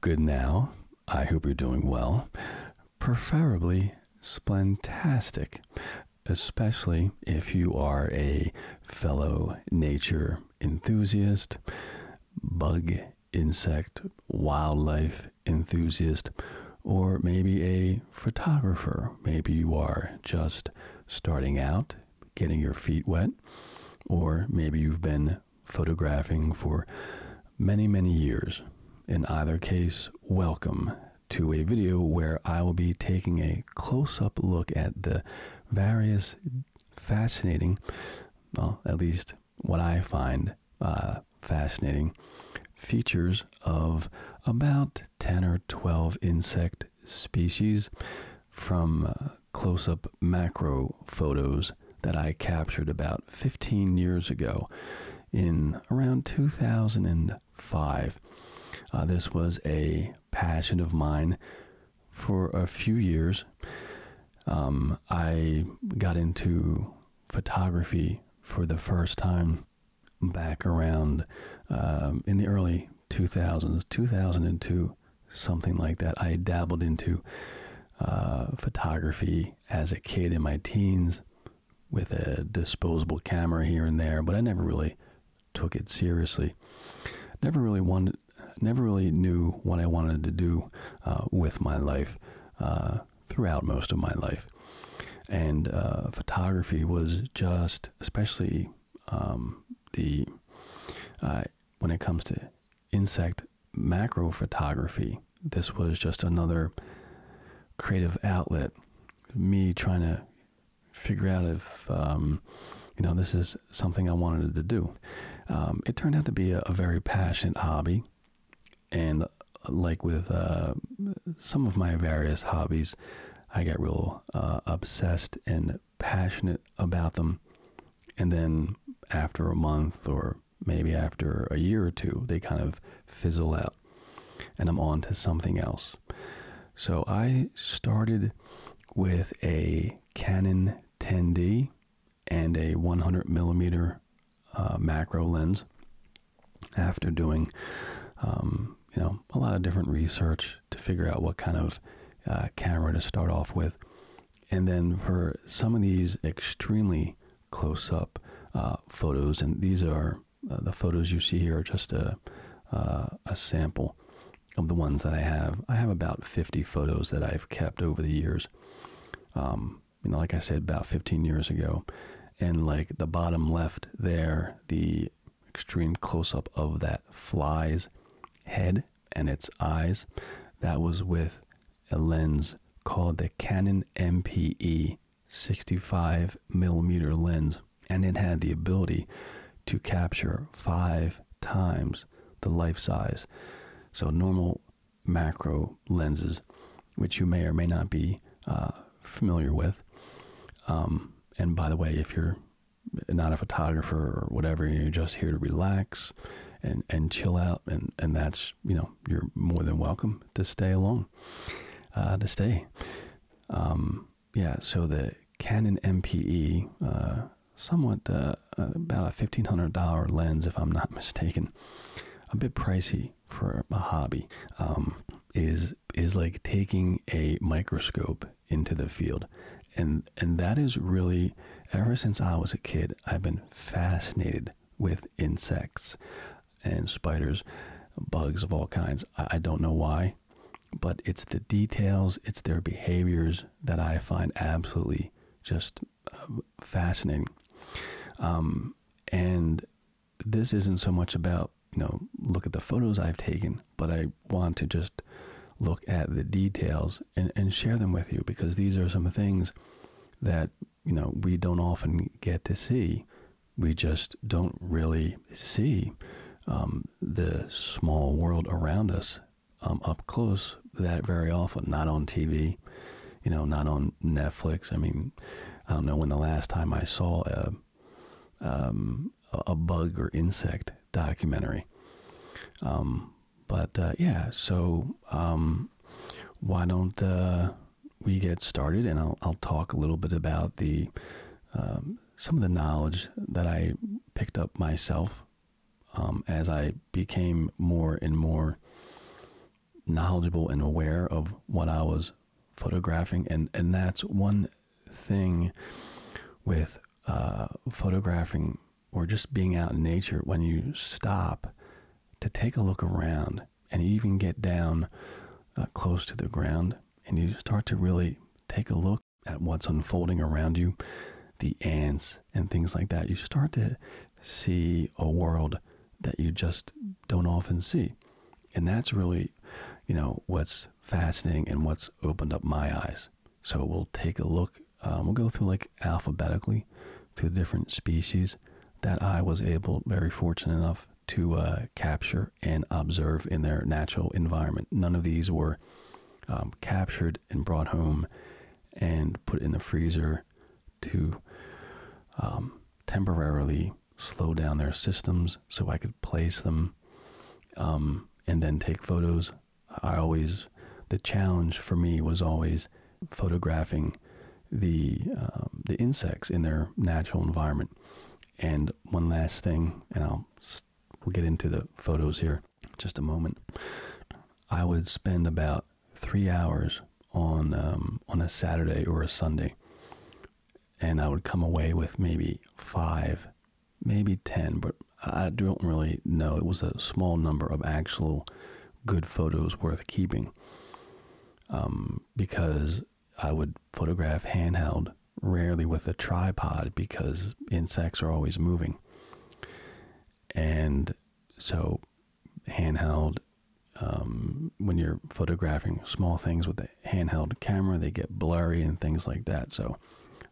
Good now. I hope you're doing well. Preferably splentastic, especially if you are a fellow nature enthusiast, bug, insect, wildlife enthusiast, or maybe a photographer. Maybe you are just starting out, getting your feet wet, or maybe you've been photographing for many, many years. In either case, welcome to a video where I will be taking a close up look at the various fascinating, well, at least what I find uh, fascinating, features of about 10 or 12 insect species from uh, close up macro photos that I captured about 15 years ago in around 2005. Uh, this was a passion of mine for a few years. Um, I got into photography for the first time back around um, in the early 2000s, 2002 something like that. I dabbled into uh, photography as a kid in my teens with a disposable camera here and there, but I never really took it seriously. Never really wanted, never really knew what I wanted to do uh, with my life uh, throughout most of my life, and photography was just, especially um, the when it comes to insect macro photography. This was just another creative outlet. Me trying to figure out if, um, you know, this is something I wanted to do. Um, it turned out to be a, very passionate hobby. And like with uh, some of my various hobbies, I got real uh, obsessed and passionate about them. And then after a month or maybe after a year or two, they kind of fizzle out and I'm on to something else. So I started with a Canon 10D and a 100 millimeter uh, macro lens after doing, um, you know, a lot of different research to figure out what kind of uh, camera to start off with. And then for some of these extremely close up uh, photos, and these are uh, the photos you see here are just a, uh, a sample of the ones that I have. I have about 50 photos that I've kept over the years. Um, you know, like I said, about 15 years ago. And like the bottom left there, the extreme close up of that fly's head and its eyes, that was with a lens called the Canon MPE 65 millimeter lens, and it had the ability to capture five times the life size. So, normal macro lenses, which you may or may not be uh, familiar with. Um, and by the way, if you're not a photographer or whatever, you're just here to relax and, and chill out, and, and that's, you know, you're more than welcome to stay along, uh, to stay. Um, yeah, so the Canon MPE, uh, somewhat uh, about a $1,500 lens, if I'm not mistaken, a bit pricey for a hobby, um, is is like taking a microscope into the field, and and that is really ever since I was a kid, I've been fascinated with insects and spiders, bugs of all kinds. I, don't know why, but it's the details, it's their behaviors that I find absolutely just uh, fascinating. Um, and this isn't so much about, you know, look at the photos I've taken, but I want to just look at the details and, and share them with you because these are some things that you know, we don't often get to see. We just don't really see um, the small world around us um, up close that very often. Not on TV, you know, not on Netflix. I mean, I don't know when the last time I saw a um, a bug or insect documentary but uh, yeah, so um, why don't uh, we get started? And I'll, I'll talk a little bit about the um, some of the knowledge that I picked up myself um, as I became more and more knowledgeable and aware of what I was photographing, and and that's one thing with uh, photographing or just being out in nature when you stop to take a look around and even get down uh, close to the ground and you start to really take a look at what's unfolding around you, the ants and things like that, you start to see a world that you just don't often see. And that's really, you know, what's fascinating and what's opened up my eyes. So we'll take a look. Um, we'll go through like alphabetically to different species that I was able, very fortunate enough, to uh, capture and observe in their natural environment. None of these were um, captured and brought home and put in the freezer to um, temporarily slow down their systems so I could place them um, and then take photos. I always, the challenge for me was always photographing the um, the insects in their natural environment. And one last thing, and I'll we'll get into the photos here just a moment. I would spend about three hours on um, on a Saturday or a Sunday, and I would come away with maybe five, maybe ten, but I don't really know. It was a small number of actual good photos worth keeping. Um, because I would photograph handheld, rarely with a tripod because insects are always moving. And so, handheld, um, when you're photographing small things with a handheld camera, they get blurry and things like that. So,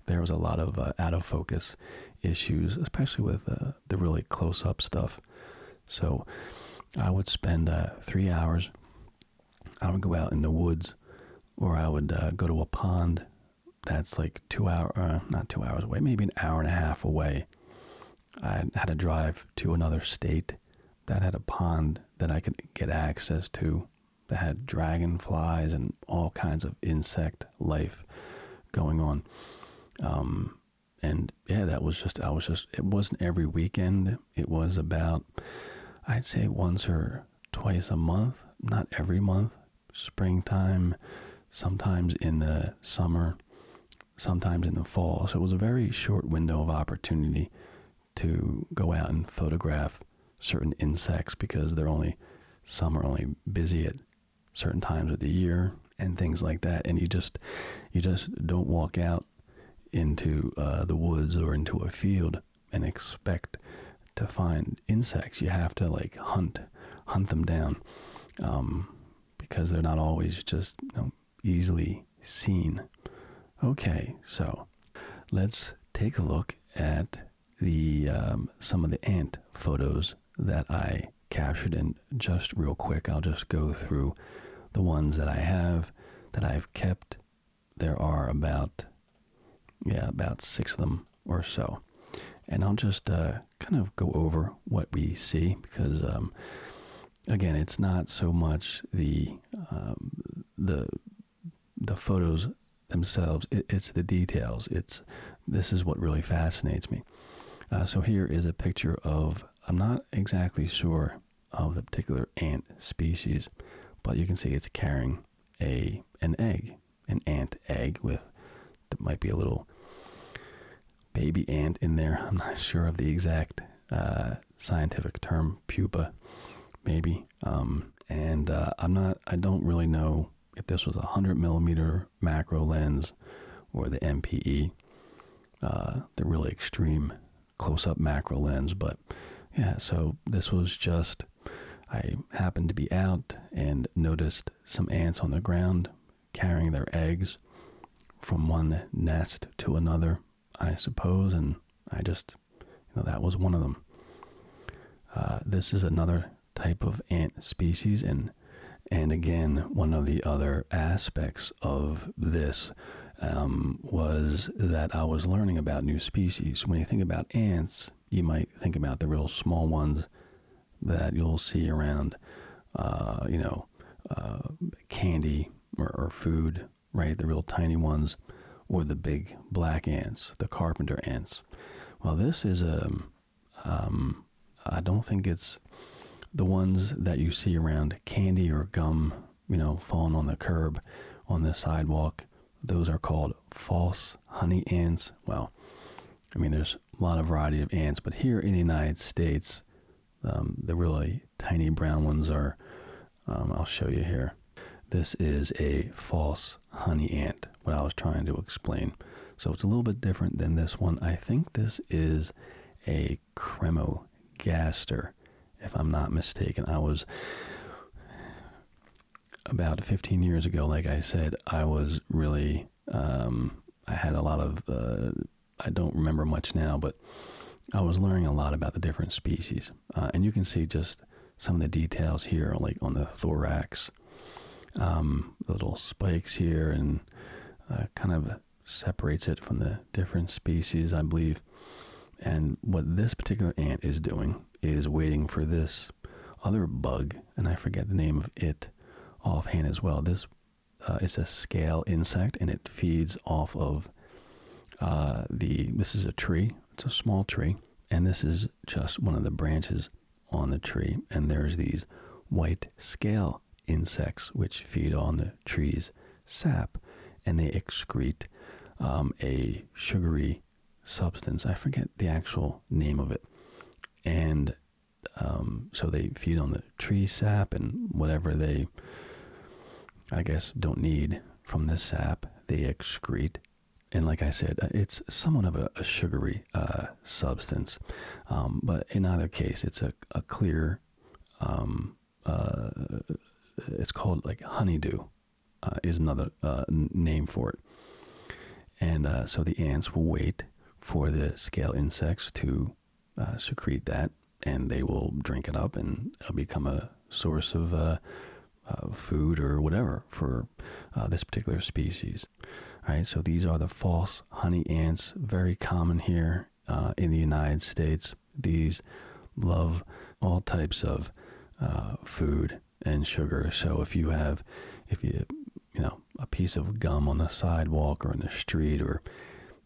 there was a lot of uh, out of focus issues, especially with uh, the really close up stuff. So I would spend uh, three hours. I would go out in the woods, or I would uh, go to a pond that's like two hour, uh, not two hours away, maybe an hour and a half away. I had to drive to another state that had a pond that I could get access to that had dragonflies and all kinds of insect life going on. Um, and yeah, that was just, I was just, it wasn't every weekend. It was about, I'd say once or twice a month, not every month, springtime, sometimes in the summer, sometimes in the fall. So it was a very short window of opportunity to go out and photograph certain insects because they're only, some are only busy at certain times of the year and things like that and you just you just don't walk out into uh, the woods or into a field and expect to find insects you have to like hunt hunt them down um, because they're not always just easily seen okay so let's take a look at the um, some of the ant photos that I captured and just real quick, I'll just go through the ones that I have that I've kept. There are about, yeah, about six of them or so. And I'll just uh, kind of go over what we see because, um, again, it's not so much the um, the the photos themselves. it's the details. It's this is what really fascinates me. Uh, so here is a picture of I'm not exactly sure of the particular ant species, but you can see it's carrying a an egg, an ant egg with that might be a little baby ant in there. I'm not sure of the exact uh, scientific term, pupa, maybe. Um, and uh, I'm not. I don't really know if this was a hundred millimeter macro lens or the MPE. Uh, the really extreme close-up macro lens. But yeah, so this was just I happened to be out and noticed some ants on the ground carrying their eggs from one nest to another, I suppose, and I just that was one of them. Uh, this is another type of ant species, and and again. One of the other aspects of this um, was that I was learning about new species. When you think about ants, you might think about the real small ones that you'll see around, uh, you know, uh, candy or, food, right? The real tiny ones, or the big black ants, the carpenter ants. Well, this is a um, um, I don't think it's the ones that you see around candy or gum, you know, fallen on the curb, on the sidewalk. Those are called false honey ants. Well, I mean, there's a lot of variety of ants, but here in the United States, um, the really tiny brown ones are, um, I'll show you here. This is a false honey ant, what I was trying to explain. So it's a little bit different than this one. I think this is a a cremogaster, if I'm not mistaken. I was about 15 years ago, like I said, I was really, um, I had a lot of, uh, I don't remember much now, but I was learning a lot about the different species. Uh, and you can see just some of the details here, like on the thorax, um, little spikes here, and uh, kind of separates it from the different species, I believe. And what this particular ant is doing is waiting for this other bug, and I forget the name of it offhand as well. This uh, is a scale insect, and it feeds off of uh, the. This is a tree. It's a small tree, and this is just one of the branches on the tree. And there's these white scale insects which feed on the tree's sap and they excrete um, a sugary substance. I forget the actual name of it. And um, so they feed on the tree sap and whatever they, I guess, don't need from this sap, they excrete. And like I said, uh, it's somewhat of a, sugary uh, substance. Um, but in either case, it's a clear um, uh, it's called like honeydew, uh, is another uh, name for it. And so the ants will wait for the scale insects to secrete that, and they will drink it up, and it'll become a source of food or whatever for this particular species. All right, so these are the false honey ants, very common here uh, in the United States. These love all types of uh, food and sugar. So if you have, if you, you know, a piece of gum on the sidewalk or in the street or,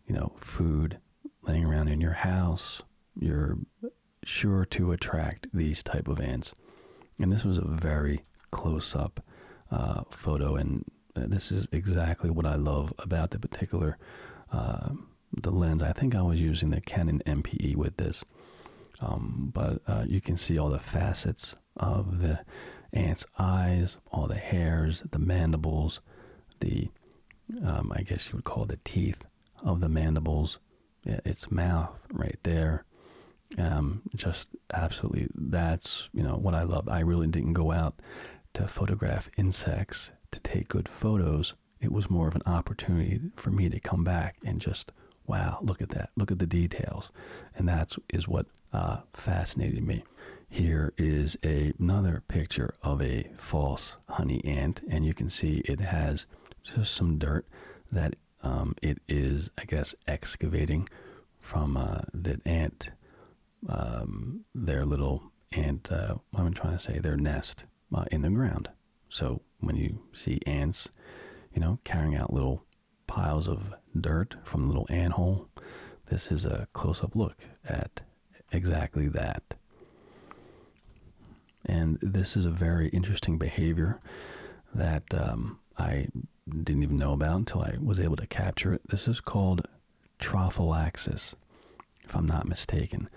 you know, food laying around in your house, you're sure to attract these type of ants. And this was a very close up uh, photo and uh, this is exactly what I love about the particular um, the lens. I think I was using the Canon MPE with this, um, but uh, you can see all the facets of the ant's eyes, all the hairs, the mandibles, the um, I guess you would call the teeth of the mandibles, its mouth right there. just absolutely, that's you know what I love. I really didn't go out to photograph insects, to take good photos. It was more of an opportunity for me to come back and just, wow, look at that. Look at the details. And that is what uh, fascinated me. Here is another picture of a false honey ant, and you can see it has just some dirt that um, it is, I guess, excavating from uh, that ant um, their little ant, uh, I'm trying to say their nest uh, in the ground. So when you see ants, you know, carrying out little piles of dirt from the little ant hole, this is a close up look at exactly that. And this is a very interesting behavior that um, I didn't even know about until I was able to capture it. This is called trophallaxis, if I'm not mistaken.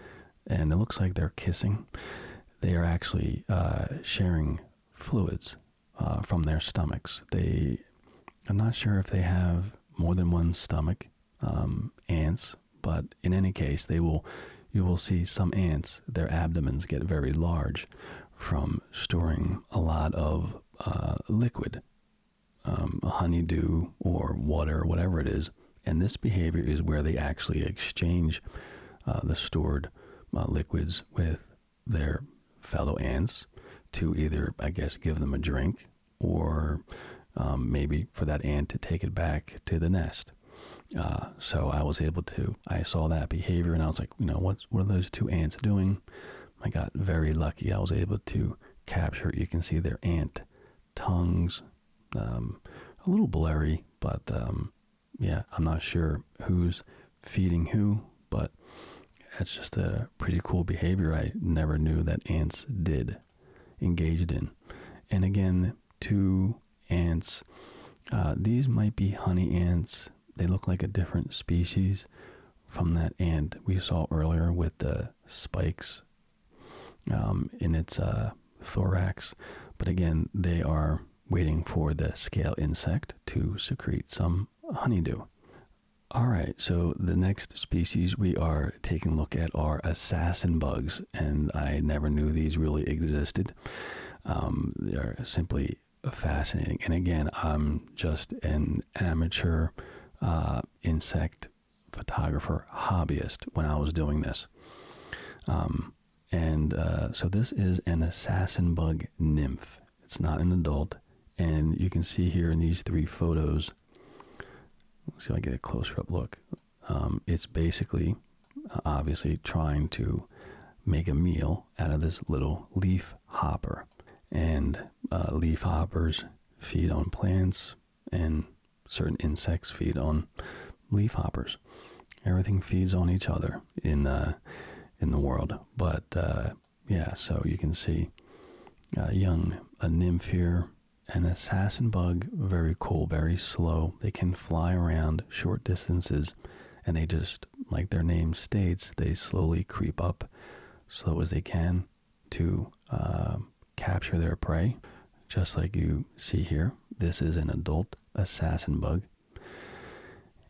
And it looks like they're kissing. They are actually uh, sharing fluids uh, from their stomachs. They, I'm not sure if they have more than one stomach, um, ants, but in any case, they will. You will see some ants, their abdomens get very large from storing a lot of uh, liquid um, a honeydew or water or whatever it is. And this behavior is where they actually exchange uh, the stored uh, liquids with their fellow ants to either, I guess, give them a drink or um, maybe for that ant to take it back to the nest. Uh, so I was able to, I saw that behavior and I was like, you know, what's, what are those two ants doing? I got very lucky. I was able to capture, you can see their ant tongues. Um, a little blurry, but um, yeah, I'm not sure who's feeding who, but that's just a pretty cool behavior I never knew that ants did engage in. And again, two ants. Uh, these might be honey ants. They look like a different species from that ant we saw earlier with the spikes um, in its uh, thorax. But again, they are waiting for the scale insect to secrete some honeydew. All right, so the next species we are taking a look at are assassin bugs, and I never knew these really existed. Um, they are simply fascinating. And again, I'm just an amateur uh, insect photographer hobbyist when I was doing this. Um, and uh, so this is an assassin bug nymph. It's not an adult. And you can see here in these three photos, see if I get a closer up look. Um, it's basically uh, obviously trying to make a meal out of this little leaf hopper. And uh, leaf hoppers feed on plants, and certain insects feed on leafhoppers. Everything feeds on each other in uh, in the world. But uh, yeah, so you can see a uh, young a nymph here, an assassin bug. Very cool, very slow. They can fly around short distances, and they just like their name states, they slowly creep up, slow as they can, to um, capture their prey, just like you see here. This is an adult assassin bug,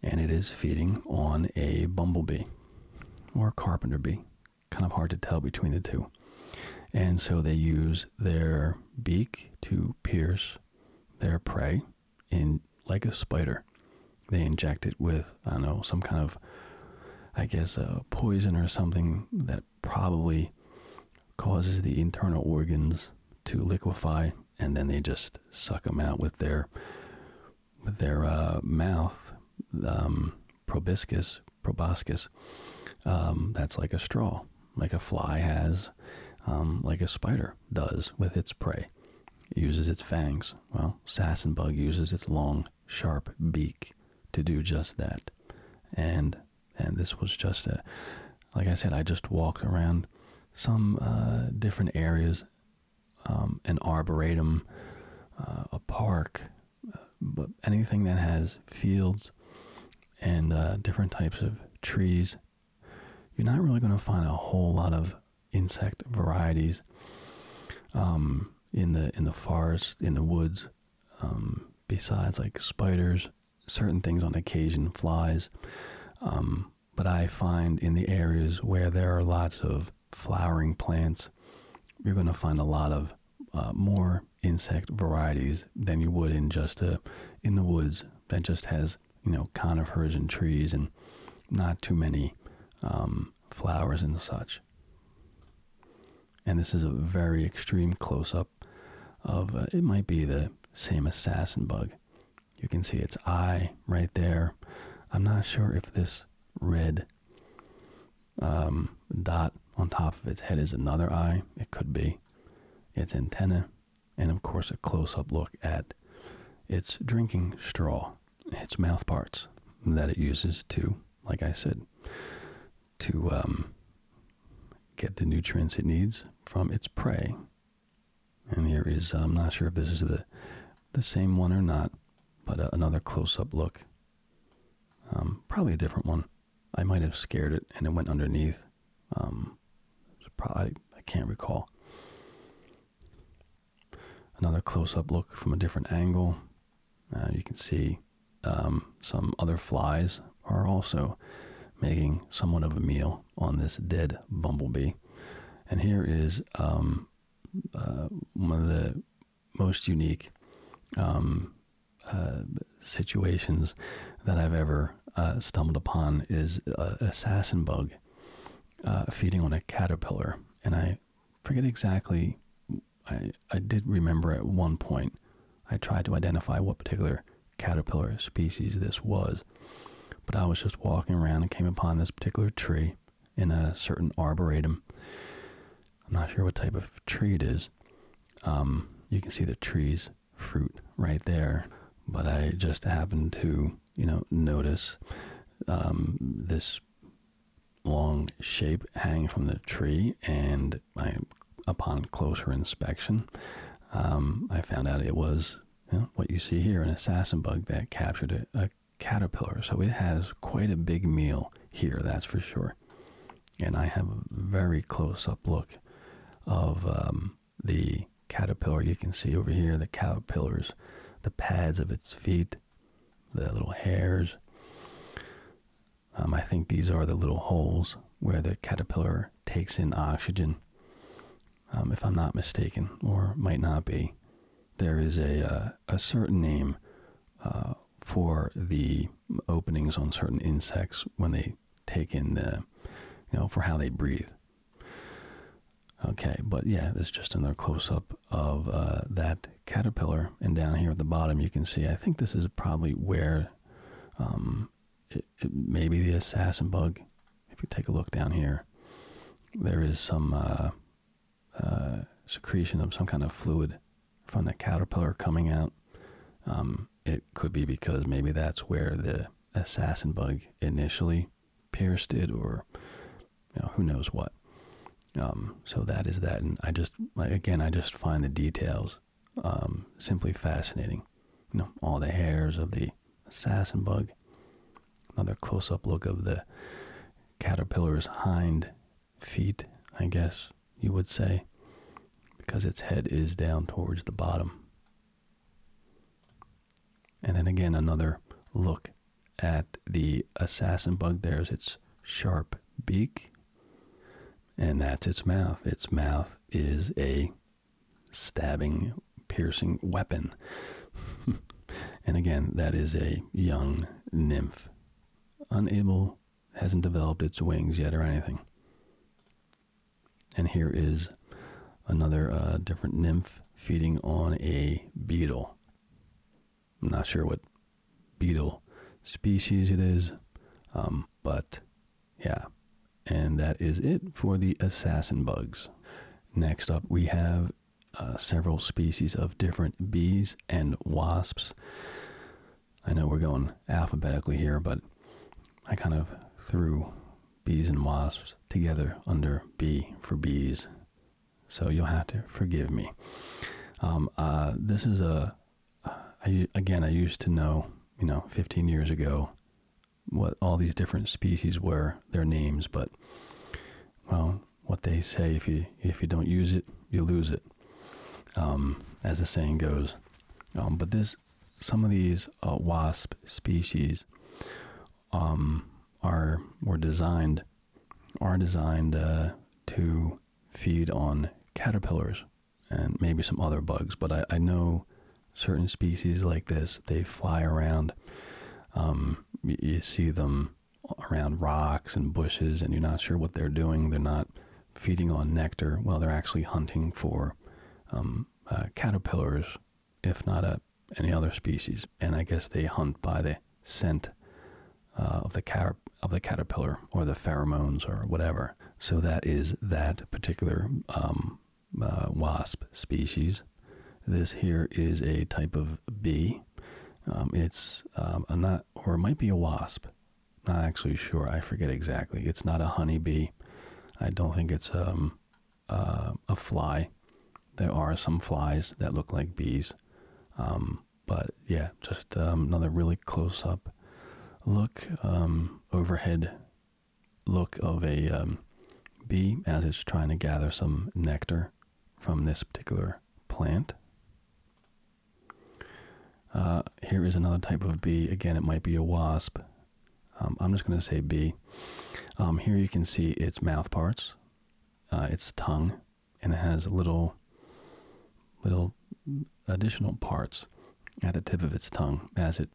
and it is feeding on a bumblebee or carpenter bee. Kind of hard to tell between the two. And so they use their beak to pierce their prey in like a spider. They inject it with, I don't know, some kind of, I guess, a poison or something that probably causes the internal organs to liquefy and then they just suck them out with their their uh, mouth um, proboscis proboscis um, that's like a straw like a fly has um, like a spider does with its prey uses its fangs well bug uses its long sharp beak to do just that. And and this was just a, like I said, I just walked around some uh, different areas, um, an arboretum, uh, a park, uh, but anything that has fields and uh, different types of trees. You're not really going to find a whole lot of insect varieties um, in the in the forest in the woods. Um, besides like spiders, certain things on occasion, flies. Um, but I find in the areas where there are lots of flowering plants, you're going to find a lot of uh, more insect varieties than you would in just a in the woods that just has you know conifers and trees and not too many um, flowers and such and this is a very extreme close up of uh, it might be the same assassin bug. You can see its eye right there. I'm not sure if this red um, dot on top of its head is another eye. It could be its antenna, and of course, a close up look at its drinking straw, its mouth parts that it uses to, like I said, to um, get the nutrients it needs from its prey. And here is, I'm not sure if this is the, the same one or not, but uh, another close up look. Um, probably a different one. I might have scared it and it went underneath. Um, probably, I can't recall. Another close up look from a different angle. Uh, you can see um, some other flies are also making somewhat of a meal on this dead bumblebee. And here is um, uh, one of the most unique um, uh, situations that I've ever stumbled upon is an assassin bug feeding on a caterpillar. And I forget exactly I, I did remember at one point I tried to identify what particular caterpillar species this was, but I was just walking around and came upon this particular tree in a certain arboretum. I'm not sure what type of tree it is. Um, you can see the tree's fruit right there, but I just happened to, you know, notice um, this long shape hanging from the tree and I, upon closer inspection, um, I found out it was what you see here an assassin bug that captured a, caterpillar. So it has quite a big meal here, that's for sure. And I have a very close up look of um, the caterpillar. You can see over here the caterpillars, the pads of its feet, the little hairs. Um, I think these are the little holes where the caterpillar takes in oxygen. Um, if I'm not mistaken, or might not be, there is a, uh, a certain name uh, for the openings on certain insects when they take in the, you know, for how they breathe. Okay, but yeah, that's just another close up of uh, that caterpillar. And down here at the bottom, you can see, I think this is probably where um, maybe the assassin bug. If you take a look down here, there is some uh, uh, secretion of some kind of fluid from the caterpillar coming out. Um, it could be because maybe that's where the assassin bug initially pierced it, or who knows what. Um, so that is that, and I just again, I just find the details um, simply fascinating. You know, all the hairs of the assassin bug. Another close-up look of the caterpillar's hind feet, I guess you would say, because its head is down towards the bottom. And then again, another look at the assassin bug. There's its sharp beak and that's its mouth. Its mouth is a stabbing, piercing weapon. and again, that is a young nymph. Unable, hasn't developed its wings yet or anything. And here is another uh, different nymph feeding on a beetle. I'm not sure what beetle species it is. Um, but yeah, and that is it for the assassin bugs. Next up, we have uh, several species of different bees and wasps. I know we're going alphabetically here, but I kind of threw bees and wasps together under B for bees. So you'll have to forgive me. Um, uh, this is a I again I used to know you know 15 years ago what all these different species were their names but well what they say if you if you don't use it you lose it um, as the saying goes um, but this some of these uh, wasp species um, are were designed are designed uh, to feed on caterpillars and maybe some other bugs, but I, I know certain species like this, they fly around. Um, you, see them around rocks and bushes, and you're not sure what they're doing. They're not feeding on nectar. Well, they're actually hunting for um, uh, caterpillars, if not a, uh, any other species. And I guess they hunt by the scent uh, of the car- of the caterpillar or the pheromones or whatever. So that is that particular um, uh, wasp species. This here is a type of bee. Um, it's um, a not, or might be a wasp. Not actually sure. I forget exactly. It's not a honeybee. I don't think it's um, uh, a fly. There are some flies that look like bees. but yeah, just another really close up look, um, overhead look of a um, bee as it's trying to gather some nectar from this particular plant. Uh, here is another type of bee. Again, it might be a wasp. Um, I'm just going to say bee. here you can see its mouth parts, uh, its tongue, and it has little, little additional parts at the tip of its tongue as it,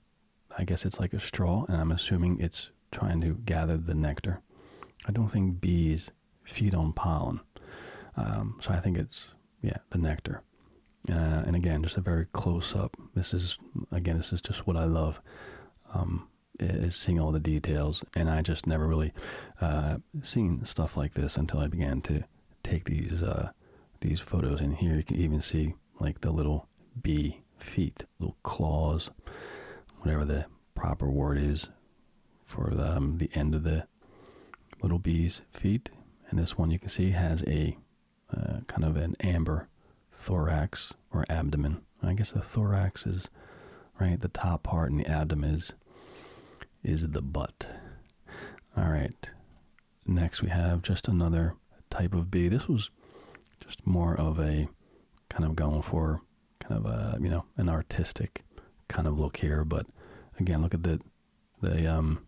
I guess it's like a straw, and I'm assuming it's trying to gather the nectar. I don't think bees feed on pollen. Um, so I think it's, yeah, the nectar. Uh, and again, just a very close up. This is, again, this is just what I love. Um, is seeing all the details, and I just never really uh, seen stuff like this until I began to take these uh, these photos in here. You can even see like the little bee feet, little claws, whatever the proper word is for the, um, the end of the little bee's feet. And this one you can see has a uh, kind of an amber thorax or abdomen. I guess the thorax is right the top part, and the abdomen is is the butt. All right, Next, we have just another type of bee. This was just more of a kind of going for kind of a you know an artistic kind of look here. But again, look at the the um,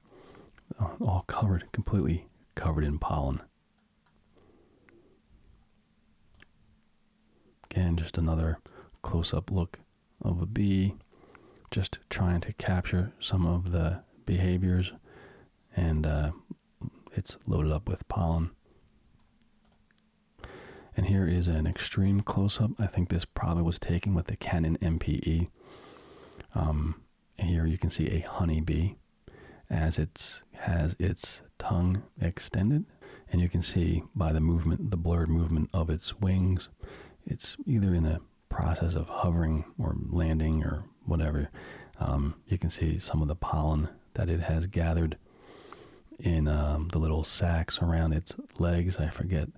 all covered completely covered in pollen. Again, just another close-up look of a bee. Just trying to capture some of the behaviors, and uh, it's loaded up with pollen. And here is an extreme close-up. I think this probably was taken with the Canon MPE. Um, here you can see a honeybee as it has its tongue extended, and you can see by the movement, the blurred movement of its wings, it's either in the process of hovering or landing or whatever, um, you can see some of the pollen that it has gathered in um, the little sacks around its legs. I forget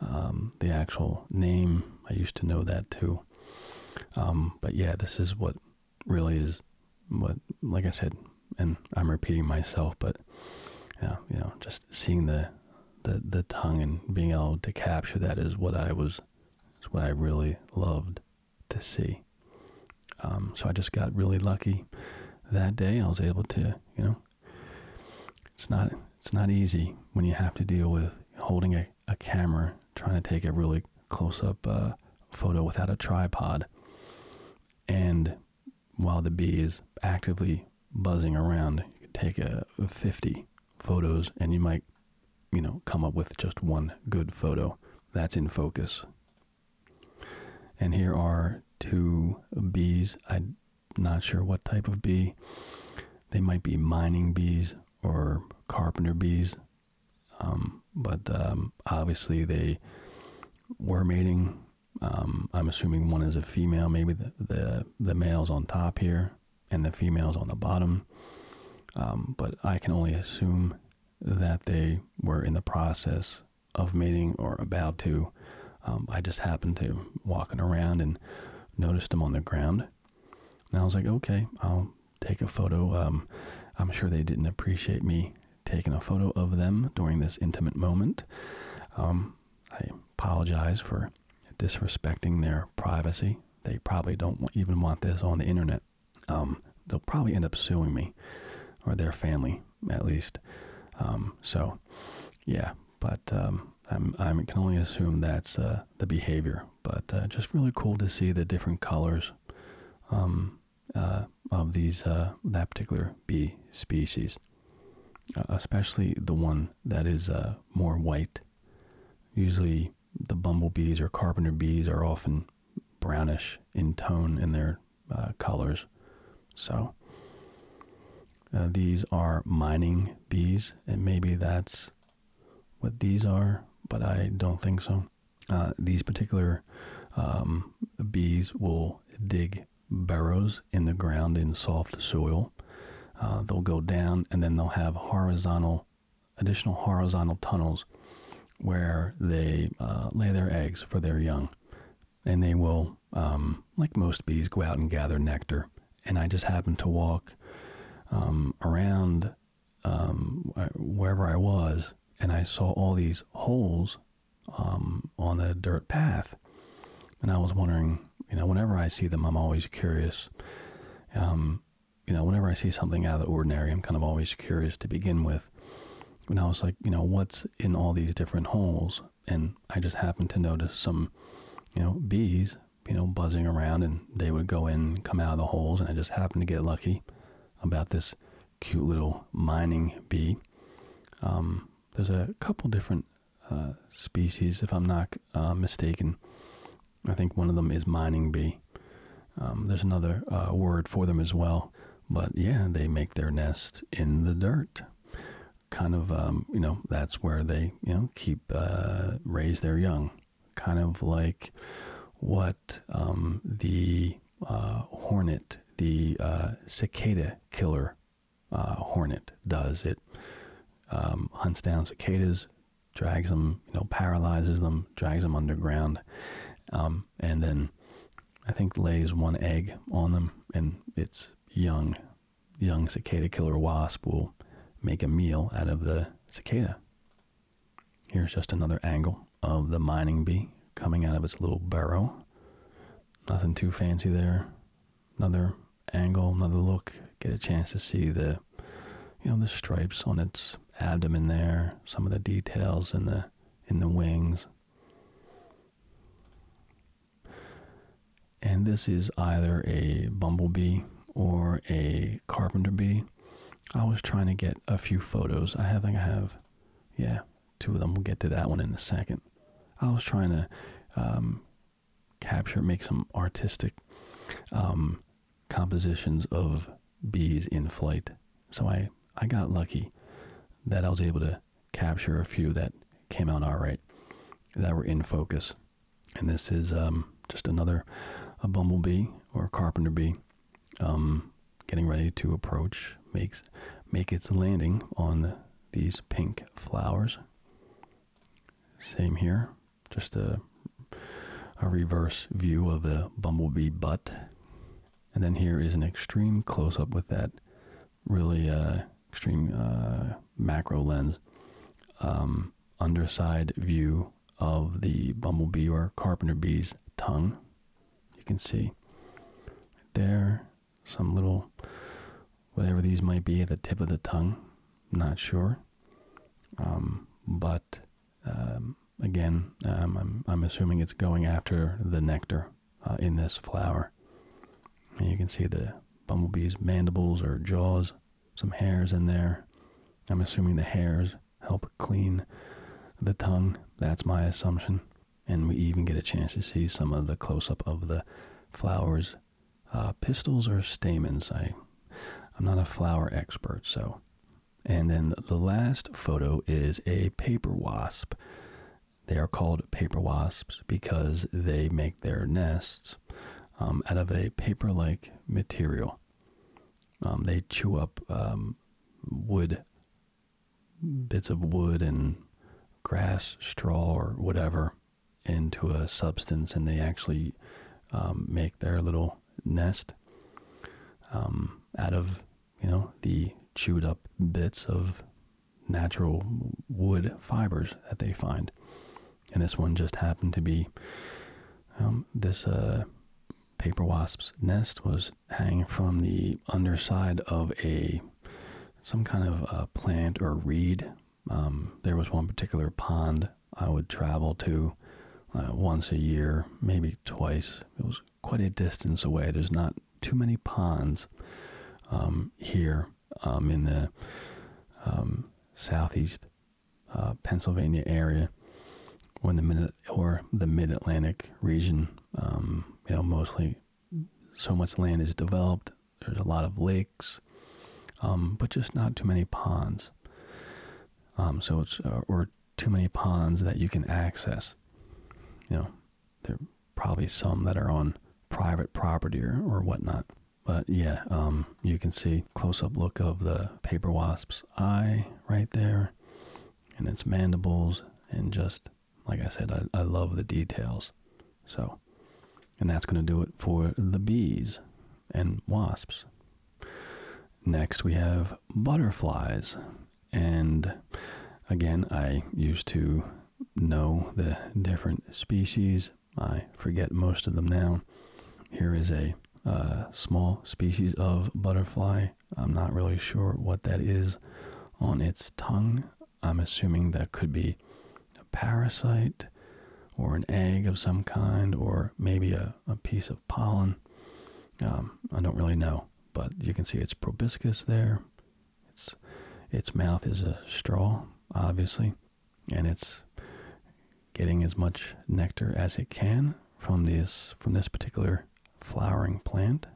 um, the actual name. I used to know that too. but yeah, this is what really is what, like I said, and I'm repeating myself, but yeah, you know, just seeing the the the tongue and being able to capture that is what I was it's what I really loved to see. Um, so I just got really lucky that day. I was able to, you know, it's not it's not easy when you have to deal with holding a, a camera, trying to take a really close up uh, photo without a tripod, and while the bees actively buzzing around, you could take a 50 photos and you might you know come up with just one good photo that's in focus and here are two bees i'm not sure what type of bee they might be mining bees or carpenter bees um, but um, obviously they were mating um, i'm assuming one is a female maybe the, the male's on top here and the females on the bottom. Um, but I can only assume that they were in the process of mating or about to. Um, I just happened to walking around and noticed them on the ground. And I was like, okay, I'll take a photo. Um, I'm sure they didn't appreciate me taking a photo of them during this intimate moment. I apologize for disrespecting their privacy they probably don't even want this on the internet. Um, they'll probably end up suing me or their family, at least. Um, so, yeah, but um, I'm, I can only assume that's uh, the behavior. But uh, just really cool to see the different colors uh, of these that particular bee species, especially the one that is more white. Usually, the bumblebees or carpenter bees are often brownish in tone in their uh, colors. So uh, these are mining bees, and maybe that's what these are, but I don't think so. Uh, these particular um, bees will dig burrows in the ground in soft soil. they'll go down and then they'll have horizontal additional horizontal tunnels where they uh, lay their eggs for their young. And they will, um, like most bees, go out and gather nectar. And I just happened to walk um, around um, wherever I was, and I saw all these holes on the dirt path. And I was wondering, you know, whenever I see them, I'm always curious you know, whenever I see something out of the ordinary, I'm kind of always curious to begin with. And I was like, you know, what's in all these different holes? And I just happened to notice some, you know, bees, you know, buzzing around and they would go in and come out of the holes. And I just happened to get lucky about this cute little mining bee. Um, there's a couple different uh, species, if I'm not uh, mistaken, I think one of them is mining bee. Um, there's another uh, word for them as well, but yeah, they make their nest in the dirt. Kind of, um, you know, that's where they, you know, keep uh, raise their young. Kind of like what um, the uh, hornet, the cicada killer hornet, does. It hunts down cicadas, drags them, you know, paralyzes them, drags them underground, um, and then I think lays one egg on them, and its young, young cicada killer wasp will make a meal out of the cicada. Here's just another angle of the mining bee coming out of its little burrow. Nothing too fancy there. Another angle, another look. Get a chance to see the you know the stripes on its abdomen there, some of the details in the in the wings. And this is either a bumblebee or a carpenter bee. I was trying to get a few photos. I think I have, yeah, two of them. We'll get to that one in a second. I was trying to um, capture, make some artistic um, compositions of bees in flight. So I, I got lucky that I was able to capture a few that came out all right, that were in focus. And this is um, just another a bumblebee or carpenter bee um, getting ready to approach, makes make its landing on these pink flowers. Same here, just a, a reverse view of the bumblebee butt. And then here is an extreme close up with that really uh, extreme uh, macro lens, um, underside view of the bumblebee or carpenter bee's tongue. You can see there some little whatever these might be at the tip of the tongue. not sure. Um, but um, again, um, I'm, I'm assuming it's going after the nectar uh, in this flower. you can see the bumblebee's mandibles or jaws, some hairs in there. I'm assuming the hairs help clean the tongue. That's my assumption. And we even get a chance to see some of the close up of the flowers. Uh, pistils or stamens, I I'm not a flower expert, so. And then the last photo is a paper wasp. They are called paper wasps because they make their nests um, out of a paper like material. Um, they chew up um, wood, bits of wood and grass, straw, or whatever into a substance, and they actually make their little nest um, out of you know the chewed up bits of natural wood fibers that they find and this one just happened to be um, this uh, paper wasp's nest was hanging from the underside of a some kind of plant or reed um, there was one particular pond I would travel to uh, once a year, maybe twice. It was quite a distance away. There's not too many ponds um, here um, in the um, southeast uh, Pennsylvania area, when the mid or the Mid Atlantic region. you know, mostly so much land is developed. There's a lot of lakes, but just not too many ponds. Um, so it's uh, or too many ponds that you can access. You know, there probably some that are on private property or, or whatnot. But yeah, um, you can see close-up look of the paper wasp's eye right there, and its mandibles, and just like I said, I, I love the details. So, and that's going to do it for the bees and wasps. Next, we have butterflies. And again, I used to know the different species. I forget most of them now. Here is a uh, small species of butterfly. I'm not really sure what that is on its tongue. I'm assuming that could be a parasite or an egg of some kind, or maybe a a, piece of pollen. Um, I don't really know, but you can see it's proboscis there. Its its mouth is a straw, obviously, and it's getting as much nectar as it can from this from this particular flowering plant.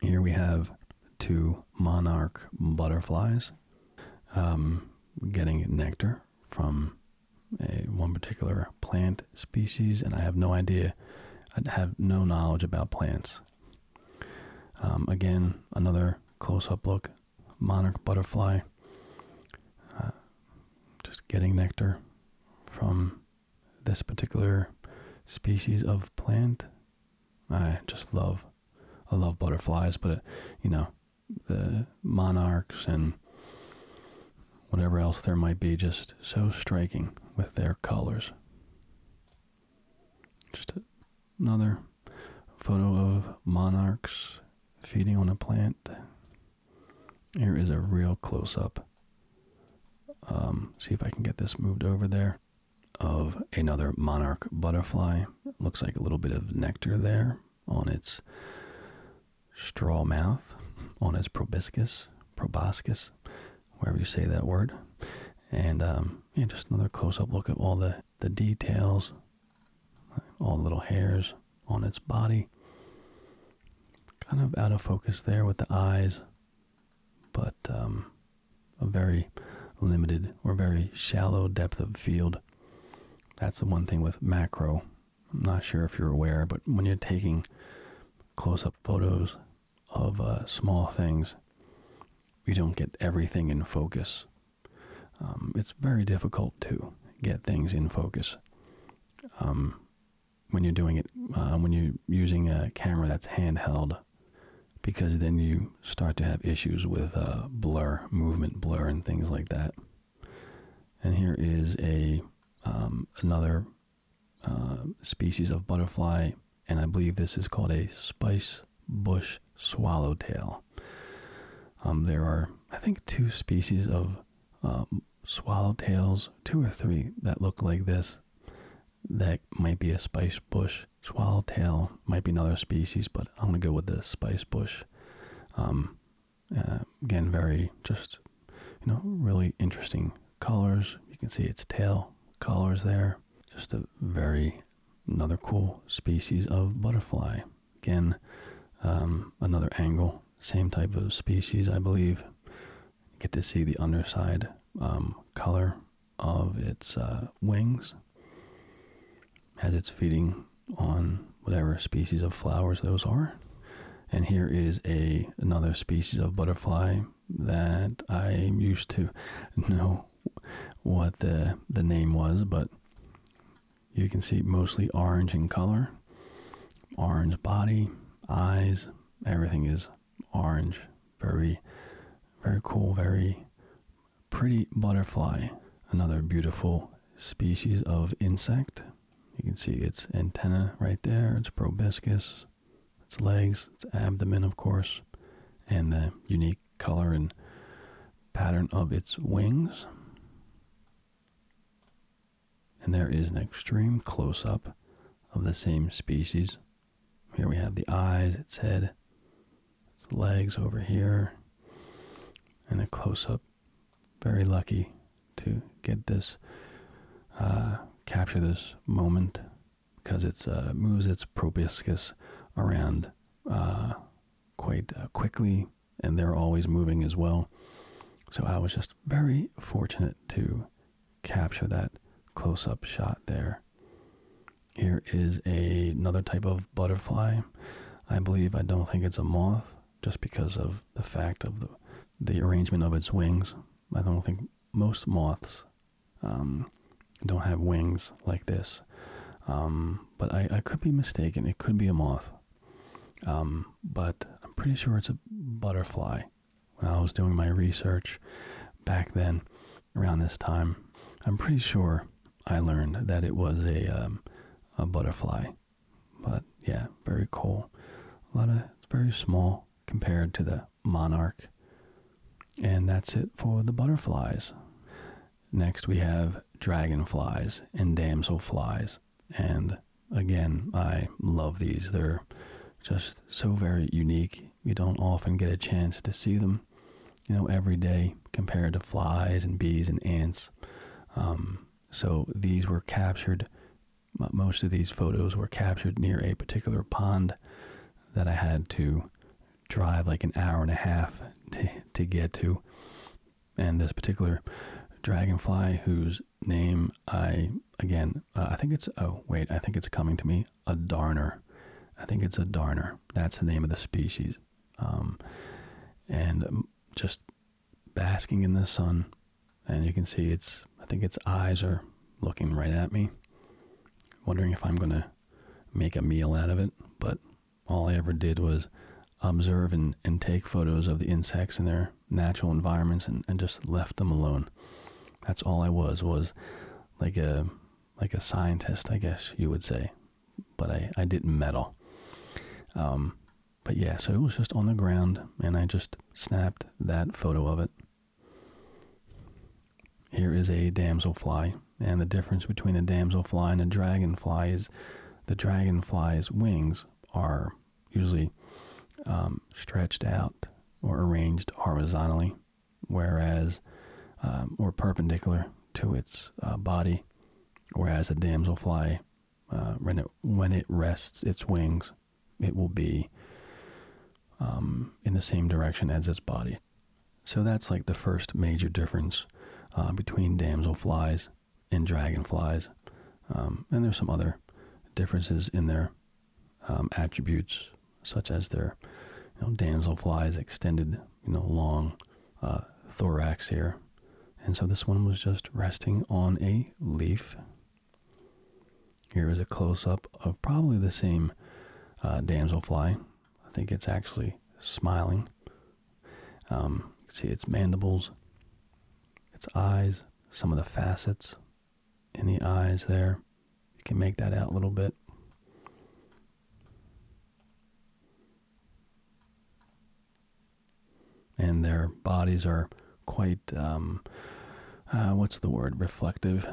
Here we have two monarch butterflies um, getting nectar from a, one particular plant species, and I have no idea. I have no knowledge about plants. Um, again, another close-up look, monarch butterfly, uh, just getting nectar from this particular species of plant. I just love, I love butterflies, but uh, you know, the monarchs and whatever else there might be, just so striking with their colors. Just another photo of monarchs feeding on a plant. Here is a real close up. Um, see if I can get this moved over there. Of another monarch butterfly. Looks like a little bit of nectar there on its straw mouth, on its proboscis, proboscis, wherever you say that word. And um, just another close-up look at all the, the details, all the little hairs on its body. Kind of out of focus there with the eyes, but um, a very limited or very shallow depth of field. That's the one thing with macro I'm not sure if you're aware, but when you're taking close up photos of uh, small things, you don't get everything in focus. Um, it's very difficult to get things in focus um, when you're doing it, uh, when you're using a camera that's handheld, because then you start to have issues with uh, blur, movement blur, and things like that. And here is a um, another uh, species of butterfly, and I believe this is called a spice bush swallowtail. Um, there are, I think, two species of um, swallowtails, two or three that look like this. That might be a spice bush swallowtail, might be another species, but I'm gonna go with the spice bush. Uh, again, very just, you know, really interesting colors. You can see its tail colors there. Just a very, another cool species of butterfly. Again, um, another angle, same type of species, I believe. You get to see the underside um, color of its uh, wings as it's feeding on whatever species of flowers those are. And here is a another species of butterfly that I am used to know what the the name was, but you can see mostly orange in color, orange body, eyes, everything is orange. Very, very cool, very pretty butterfly. Another beautiful species of insect. You can see its antenna right there, its proboscis, its legs, its abdomen, of course, and the unique color and pattern of its wings. And there is an extreme close up of the same species. Here we have the eyes, its head, its legs over here, and a close up very lucky to get this uh, capture this moment because it uh, moves its proboscis around uh, quite quickly and they're always moving as well. So I was just very fortunate to capture that close-up shot there. Here is another type of butterfly. I believe I don't think it's a moth just because of the fact of the the arrangement of its wings. I don't think most moths um, don't have wings like this, um, but I, could be mistaken. It could be a moth, um, but I'm pretty sure it's a butterfly. When I was doing my research back then, around this time, I'm pretty sure I learned that it was a a butterfly. But yeah, very cool. A lot of very small compared to the monarch. And that's it for the butterflies. Next we have dragonflies and damsel flies, And again, I love these. They're just so very unique. You don't often get a chance to see them, you know, every day compared to flies and bees and ants. Um, so these were captured most of these photos were captured near a particular pond that I had to drive like an hour and a half to, get to. And this particular dragonfly, whose name I, again, uh, I think it's, oh, wait, I think it's coming to me, a darner. I think it's a darner. That's the name of the species. Um, and um, just basking in the sun. And you can see its, I think its eyes are looking right at me, wondering if I'm going to make a meal out of it. But all I ever did was observe and, and take photos of the insects in their natural environments and, and just left them alone. That's all I was, was like a like a scientist, I guess you would say. But I, I didn't meddle. Um, but yeah, so it was just on the ground, and I just snapped that photo of it. Here is a damsel fly, and the difference between a damsel fly and a dragonfly is the dragonfly's wings are usually um, stretched out or arranged horizontally, whereas um, or perpendicular to its uh, body, whereas the damsel fly. Uh, when it when it rests its wings, it will be um, in the same direction as its body. So that's like the first major difference uh, between damsel flies and dragonflies. Um, and there's some other differences in their um, attributes, such as their damsel flies extended, you know, long uh, thorax here. And so this one was just resting on a leaf here is a close up of probably the same uh, damselfly. I think it's actually smiling. Um, see its mandibles, its eyes, some of the facets in the eyes there. You can make that out a little bit and their bodies are quite um, uh, what's the word reflective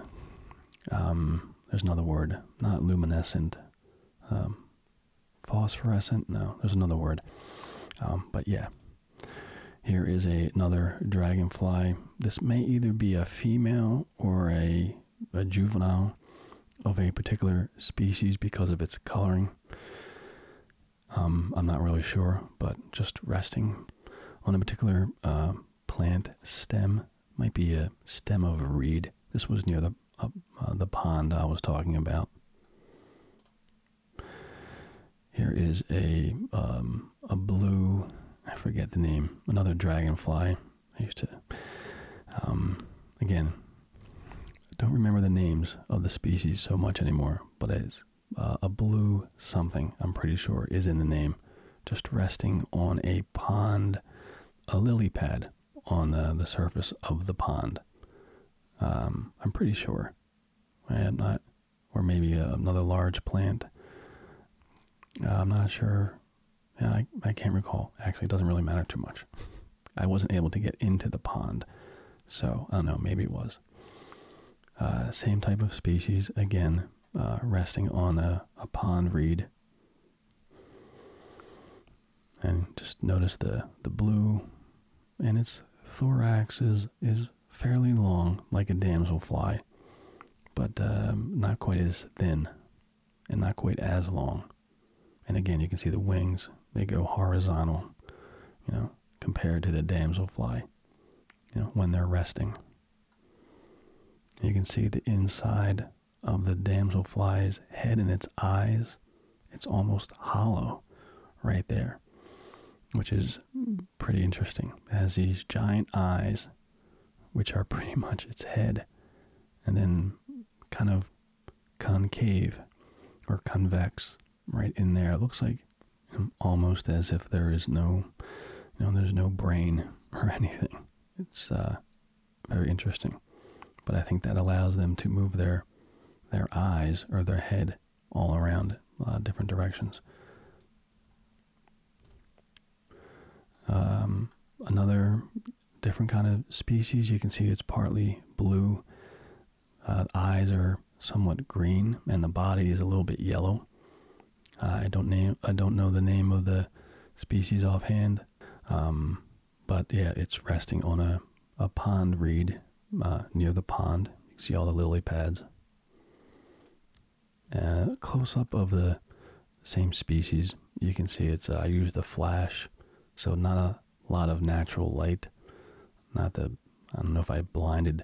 um, there's another word not luminescent um, phosphorescent no there's another word but yeah here is another dragonfly this may either be a female or a, a juvenile of a particular species because of its coloring um, I'm not really sure, but just resting on a particular uh, plant stem might be a stem of a reed. This was near the uh, the pond I was talking about. Here is a um, a blue, I forget the name, another dragonfly. I used to, um, again, don't remember the names of the species so much anymore, but it's uh, a blue something, I'm pretty sure, is in the name, just resting on a pond, a lily pad on the, the surface of the pond. Um, I'm pretty sure. I had not, or maybe uh, another large plant. Uh, I'm not sure. I, I can't recall. Actually, it doesn't really matter too much. I wasn't able to get into the pond. So, I don't know, maybe it was. Uh, same type of species, again, uh, resting on a, a pond reed. And just notice the, the blue, and its thorax is, is fairly long, like a damselfly, but um, not quite as thin and not quite as long. And again, you can see the wings, they go horizontal, you know, compared to the damselfly you know, when they're resting. You can see the inside of the damselfly's head and its eyes. It's almost hollow right there, which is pretty interesting. It has these giant eyes, which are pretty much its head, and then kind of concave or convex right in there. It looks like almost as if there is no, you there's no brain or anything. It's uh, very interesting, but I think that allows them to move their their eyes or their head all around uh, different directions. Um, another different kind of species. You can see it's partly blue. Uh, eyes are somewhat green, and the body is a little bit yellow. Uh, I don't name I don't know the name of the species offhand, um, but yeah, it's resting on a a pond reed uh, near the pond. You see all the lily pads. Uh, close up of the same species, you can see it's I used a flash, so not a lot of natural light, not the I don't know if I blinded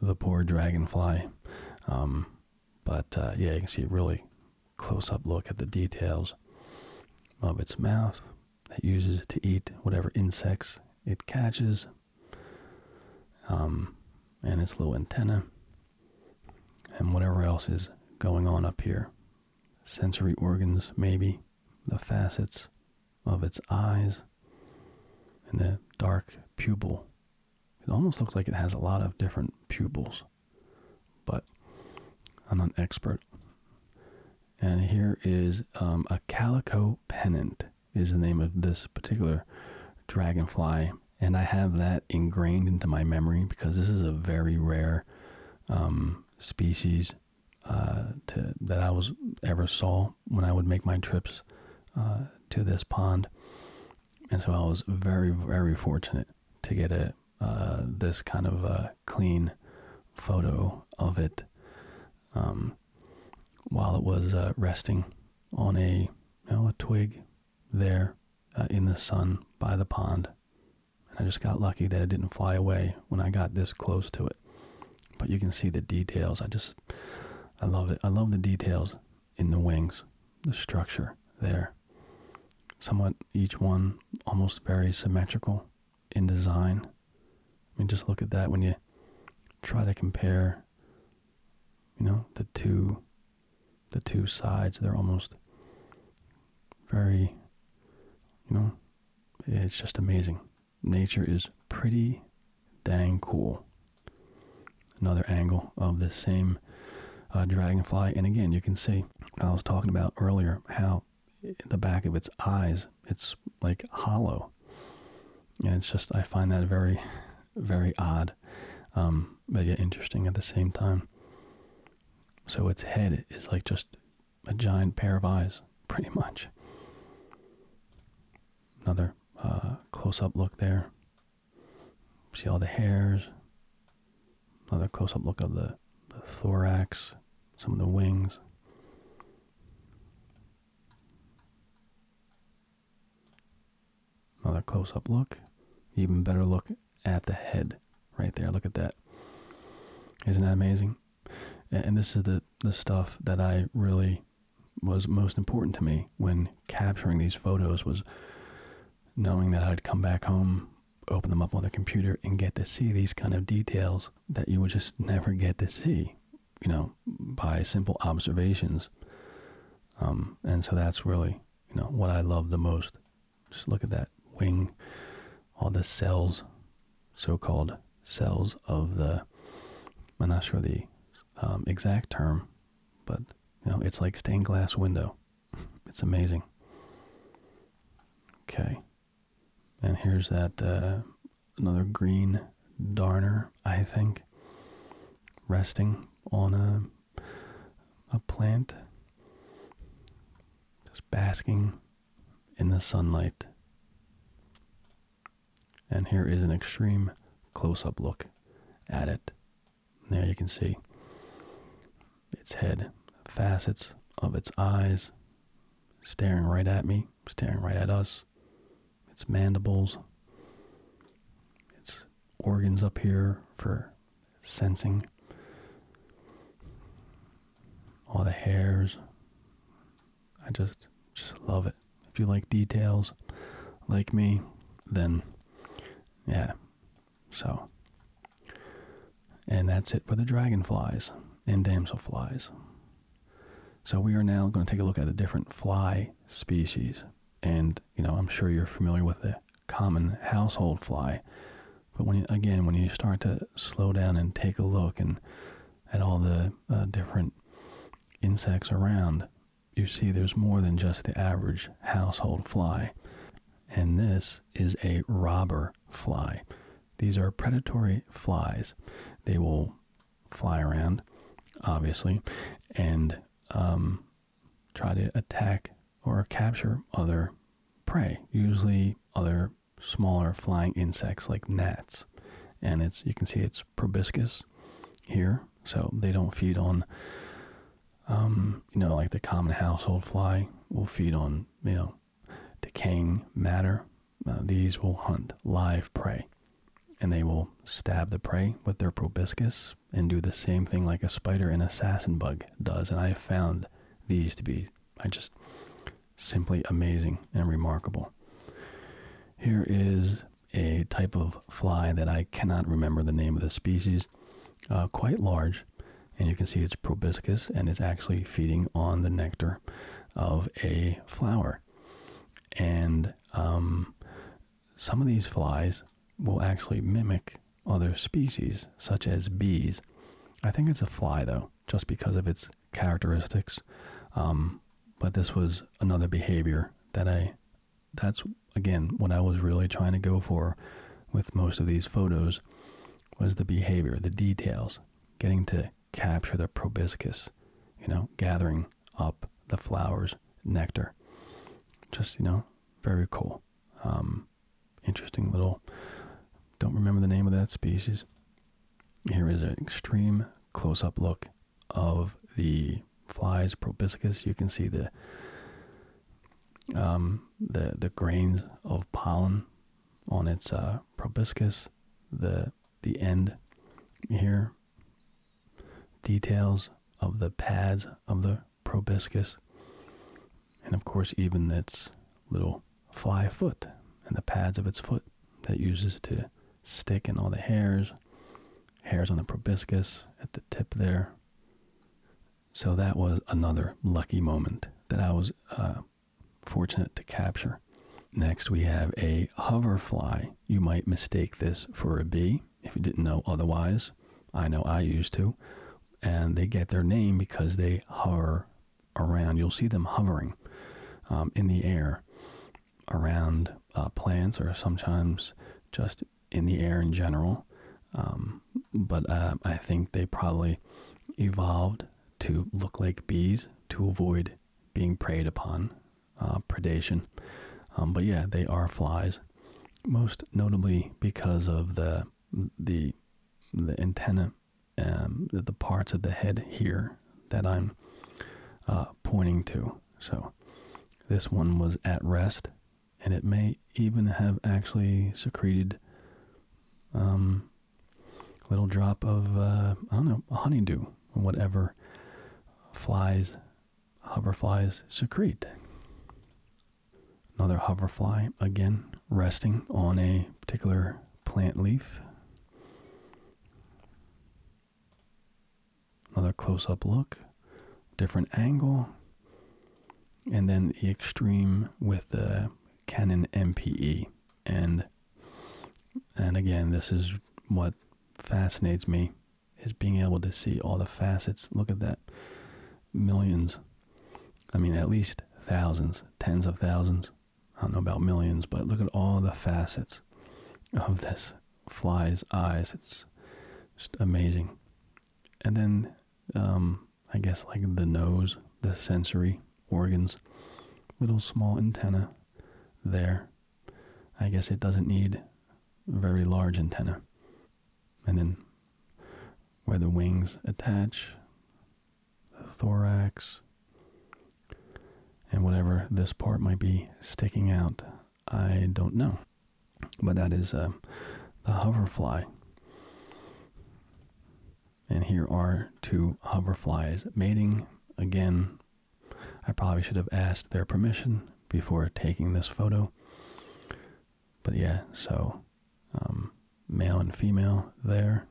the poor dragonfly, um, but uh, yeah, you can see a really close-up look at the details of its mouth that uses it to eat whatever insects it catches, um, and its little antenna, and whatever else is going on up here. Sensory organs, maybe the facets of its eyes and the dark pupil. It almost looks like it has a lot of different pupils, but I'm an expert. And here is um, a calico pennant is the name of this particular dragonfly. And I have that ingrained into my memory because this is a very rare um, species uh, that I was ever saw when I would make my trips uh, to this pond. And so I was very, very fortunate to get a, uh, this kind of a uh, clean photo of it um, while it was uh, resting on a, a twig there in the sun by the pond. And I just got lucky that it didn't fly away when I got this close to it. But you can see the details. I just I love it. I love the details in the wings, the structure there. Somewhat each one almost very symmetrical in design. I mean just look at that when you try to compare you know the two the two sides they're almost very you know it's just amazing nature is pretty Dang cool. Another angle of the same uh, dragonfly. And again, you can see I was talking about earlier how the back of its eyes, it's like hollow. And it's just, I find that very, very odd, um, but yet interesting at the same time. So its head is like just a giant pair of eyes, pretty much. Another uh, close-up look there. See all the hairs. Another close-up look of the, the thorax, some of the wings. Another close-up look. Even better look at the head right there. Look at that. Isn't that amazing? And this is the, the stuff that I really was most important to me when capturing these photos was knowing that I'd come back home, open them up on the computer, and get to see these kind of details that you would just never get to see, you know, by simple observations. Um, and so that's really, you know, what I love the most. Just look at that wing, all the cells, so called cells of the, I'm not sure the um, exact term, but you know it's like stained glass window. it's amazing. Okay, and here's that uh, another green darner, I think, resting on a a plant, just basking in the sunlight. And here is an extreme close-up look at it. There you can see its head, facets of its eyes staring right at me, staring right at us. Its mandibles, its organs up here for sensing. All the hairs. I just just love it. If you like details like me, then yeah. So, and that's it for the dragonflies and damselflies. So we are now going to take a look at the different fly species. And, you know, I'm sure you're familiar with the common household fly. But when again, when you start to slow down and take a look and at all the uh, different insects around, you see, there's more than just the average household fly, and this is a robber fly. These are predatory flies. They will fly around, obviously, and um, try to attack or capture other prey, usually other smaller flying insects like gnats. And it's you can see it's proboscis here, so they don't feed on, um, you know, like the common household fly will feed on, you know, decaying matter. Uh, these will hunt live prey, and they will stab the prey with their proboscis and do the same thing like a spider and assassin bug does. And I have found these to be, I just simply amazing and remarkable. Here is a type of fly that I cannot remember the name of the species, uh, quite large. And you can see it's proboscis and it's actually feeding on the nectar of a flower. And um, some of these flies will actually mimic other species, such as bees. I think it's a fly, though, just because of its characteristics. Um, but this was another behavior that I that's again what I was really trying to go for with most of these photos was the behavior, the details, getting to capture the proboscis, you know, gathering up the flowers, nectar. Just, you know, very cool. Um, interesting little, don't remember the name of that species. Here is an extreme close up look of the flies, proboscis. You can see the um, the the grains of pollen on its uh, proboscis. The the end here details of the pads of the proboscis, and of course even its little fly foot and the pads of its foot that uses to stick in all the hairs hairs on the proboscis at the tip there. So that was another lucky moment that I was uh, fortunate to capture. Next, we have a hoverfly. You might mistake this for a bee if you didn't know otherwise. I know I used to. And they get their name because they hover around. You'll see them hovering um, in the air around uh, plants or sometimes just in the air in general. Um, but uh, I think they probably evolved to look like bees to avoid being preyed upon, uh, predation. Um, but yeah, they are flies, most notably because of the the the antenna, um, the, parts of the head here that I'm uh, pointing to. So this one was at rest, and it may even have actually secreted a um, little drop of, uh, I don't know, honeydew, or whatever flies, hoverflies secrete. Another hoverfly, again, resting on a particular plant leaf. Another close up look, different angle, and then the extreme with the Canon MPE. And and again, this is what fascinates me is being able to see all the facets. Look at that. Millions. I mean, at least thousands, tens of thousands. I don't know about millions, but look at all the facets of this flies' eyes. It's just amazing. And then, um, I guess, like the nose, the sensory organs, little small antenna there. I guess it doesn't need very large antenna. And then where the wings attach, the thorax, and whatever this part might be sticking out I don't know. But that is uh, the hoverfly. And here are two hoverflies mating. Again, I probably should have asked their permission before taking this photo. But yeah, so um, male and female there.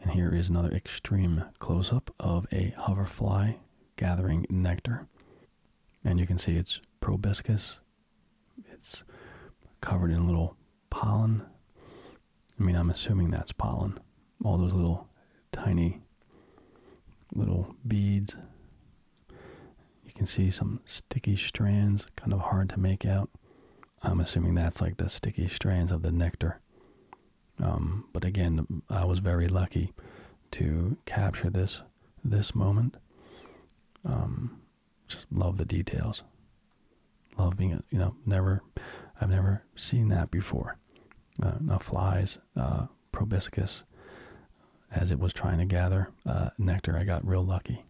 And here is another extreme close up of a hoverfly gathering nectar. And you can see it's proboscis. It's covered in little pollen. I mean, I'm assuming that's pollen. All those little tiny little beads. You can see some sticky strands, kind of hard to make out. I'm assuming that's like the sticky strands of the nectar. Um, but again, I was very lucky to capture this this moment. Um, just love the details. Love being, you know, never, I've never seen that before. Uh, now flies, uh, proboscis, as it was trying to gather uh, nectar, I got real lucky.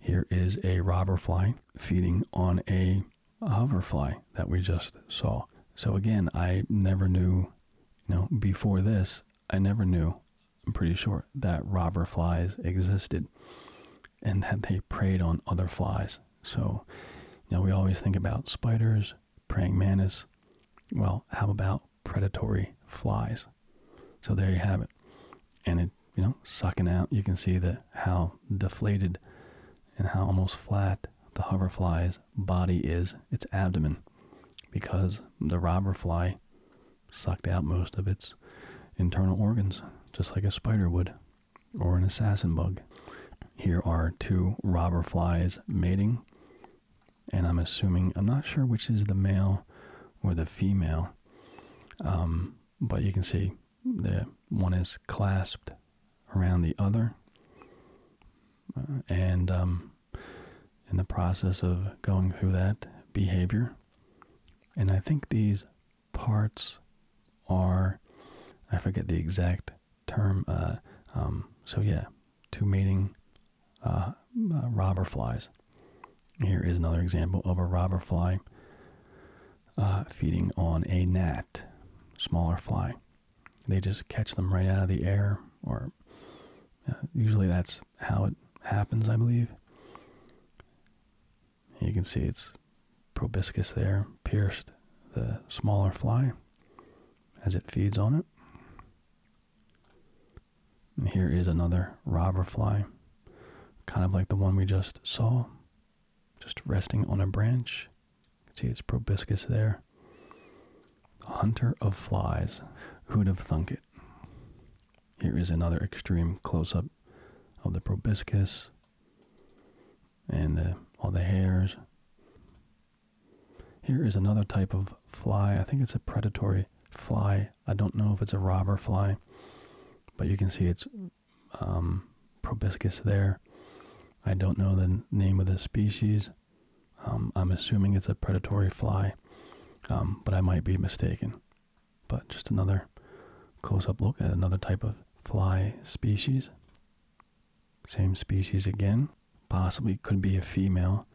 Here is a robber fly feeding on a hoverfly that we just saw. So again, I never knew, you know, before this, I never knew, I'm pretty sure, that robber flies existed and that they preyed on other flies. So, you know, we always think about spiders, praying mantis. Well, how about predatory flies? So there you have it. And it, you know, sucking out, you can see that how deflated and how almost flat the hoverflies body is its abdomen because the robber fly sucked out most of its internal organs, just like a spider would or an assassin bug. Here are two robber flies mating, and I'm assuming, I'm not sure which is the male or the female, um, but you can see the one is clasped around the other. Uh, and um, in the process of going through that behavior, and I think these parts are, I forget the exact term, uh, um, so yeah, two mating uh, robber flies. Here is another example of a robber fly feeding on a gnat, smaller fly. They just catch them right out of the air, or uh, usually that's how it happens, I believe. You can see it's proboscis there pierced the smaller fly as it feeds on it. And here is another robber fly, kind of like the one we just saw, just resting on a branch. See it's proboscis there. A hunter of flies. Who'd have thunk it? Here is another extreme close up of the proboscis and all the hairs. Here is another type of fly. I think it's a predatory fly. I don't know if it's a robber fly, but you can see it's um, proboscis there. I don't know the name of the species. Um, I'm assuming it's a predatory fly, um, but I might be mistaken. But just another close-up look at another type of fly species. Same species again. Possibly could be a female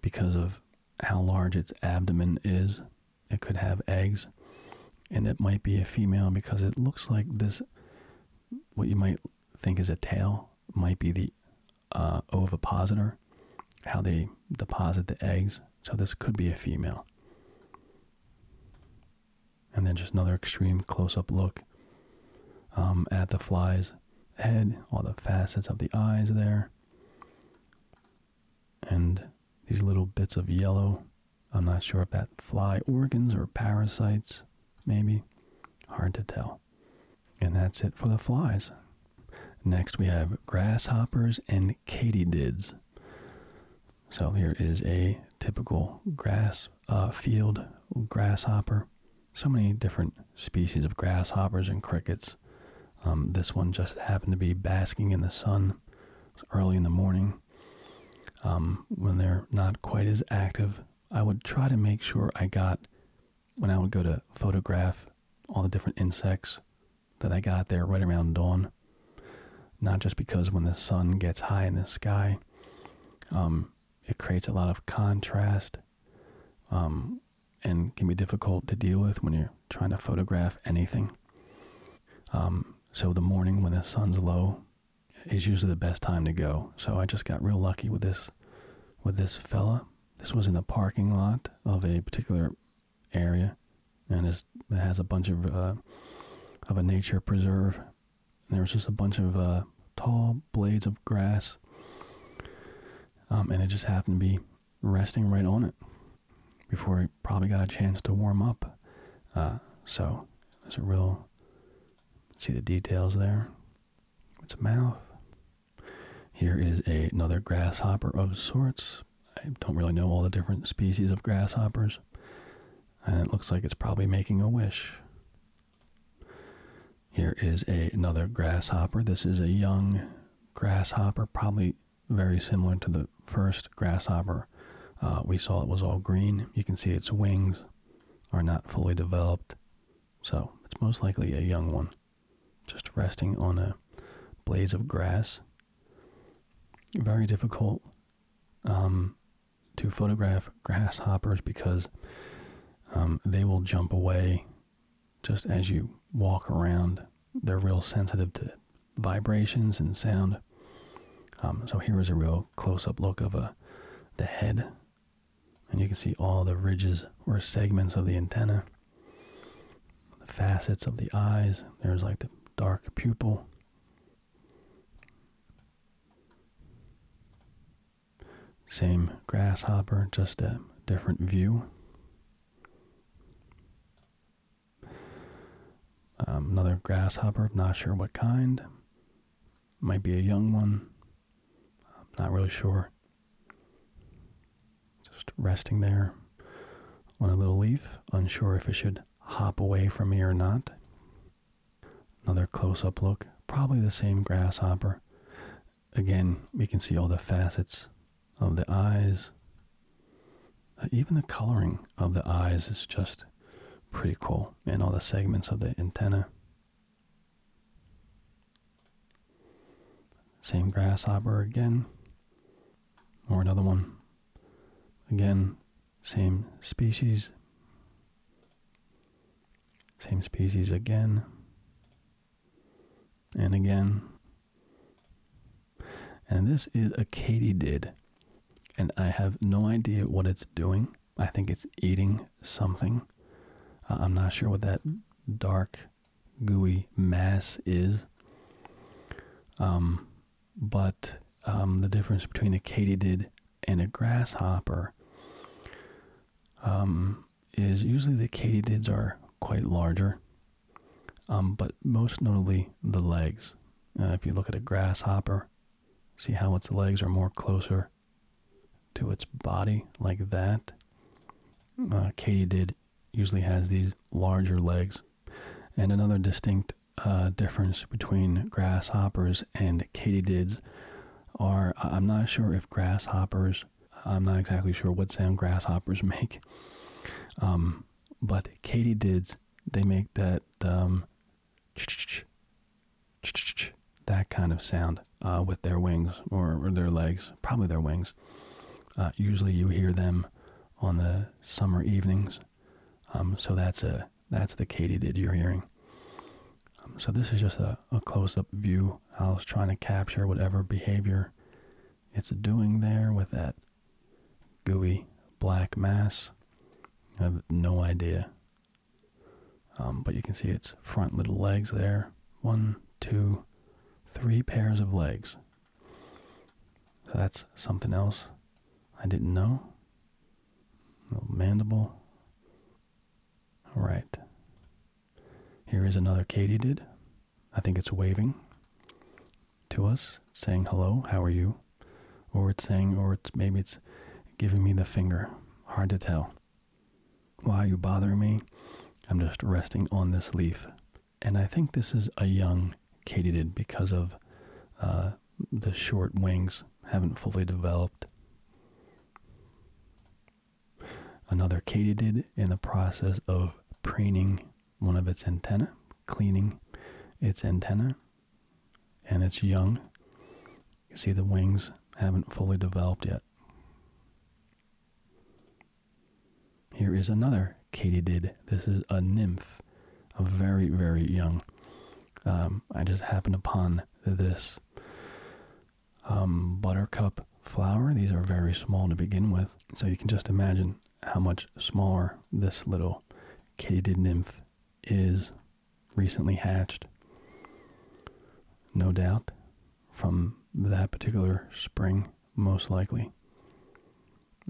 because of how large its abdomen is. It could have eggs, and it might be a female because it looks like this, what you might think is a tail might be the uh, ovipositor, how they deposit the eggs. So this could be a female. And then just another extreme close-up look um, at the fly's head, all the facets of the eyes there, and these little bits of yellow. I'm not sure if that fly organs or parasites, maybe. Hard to tell. And that's it for the flies. Next we have grasshoppers and katydids. So here is a typical grass uh, field grasshopper. So many different species of grasshoppers and crickets. Um, this one just happened to be basking in the sun early in the morning um, when they're not quite as active I would try to make sure I got, when I would go to photograph all the different insects, that I got there right around dawn. Not just because when the sun gets high in the sky, um, it creates a lot of contrast um, and can be difficult to deal with when you're trying to photograph anything. Um, so the morning when the sun's low is usually the best time to go. So I just got real lucky with this with this fella. This was in the parking lot of a particular area, and it has a bunch of uh, of a nature preserve. And there was just a bunch of uh, tall blades of grass, um, and it just happened to be resting right on it before it probably got a chance to warm up. Uh, so there's a real see the details there its mouth. Here is another grasshopper of sorts. I don't really know all the different species of grasshoppers. And it looks like it's probably making a wish. Here is another grasshopper. This is a young grasshopper, probably very similar to the first grasshopper uh, we saw. It was all green. You can see its wings are not fully developed so it's most likely a young one, just resting on a blades of grass. Very difficult um, to photograph grasshoppers because um, they will jump away just as you walk around. They're real sensitive to vibrations and sound. Um, so here is a real close-up look of a uh, the head and you can see all the ridges or segments of the antenna, the facets of the eyes. There's like the dark pupil. Same grasshopper, just a different view. Um, another grasshopper, not sure what kind. Might be a young one, I'm not really sure. Just resting there on a little leaf, unsure if it should hop away from me or not. Another close up look, probably the same grasshopper. Again, we can see all the facets of the eyes. Uh, even the coloring of the eyes is just pretty cool, and all the segments of the antenna. Same grasshopper again, or another one. Again, same species. Same species again, and again. And this is a katydid, and I have no idea what it's doing. I think it's eating something. I'm not sure what that dark, gooey mass is. Um, but um, the difference between a katydid and a grasshopper um, is usually the katydids are quite larger, but most notably the legs. Uh, if you look at a grasshopper, see how its legs are more closer to its body like that. Hmm. Uh, katydid usually has these larger legs. And another distinct uh, difference between grasshoppers and katydids are I'm not sure if grasshoppers, I'm not exactly sure what sound grasshoppers make. Um, but katydids, they make that um, that kind of sound uh, with their wings or, their legs, probably their wings. Uh, usually you hear them on the summer evenings. Um, so that's a that's the katydid you're hearing. Um, so this is just a close-up view. I was trying to capture whatever behavior it's doing there with that gooey black mass. I have no idea um, but you can see its front little legs there. One, two, three pairs of legs. So that's something else I didn't know. Little mandible. All right. Here is another katydid. I think it's waving to us, saying hello, how are you? Or it's saying, or maybe it's giving me the finger. Hard to tell. Why are you bothering me? I'm just resting on this leaf. And I think this is a young katydid because of uh, the short wings haven't fully developed. Another katydid in the process of preening one of its antennae, cleaning its antenna and its young see the wings haven't fully developed yet. Here is another katydid. This is a nymph, a very, very young. Um, I just happened upon this um, buttercup flower. These are very small to begin with, so you can just imagine how much smaller this little katydid nymph is recently hatched. No doubt from that particular spring, most likely.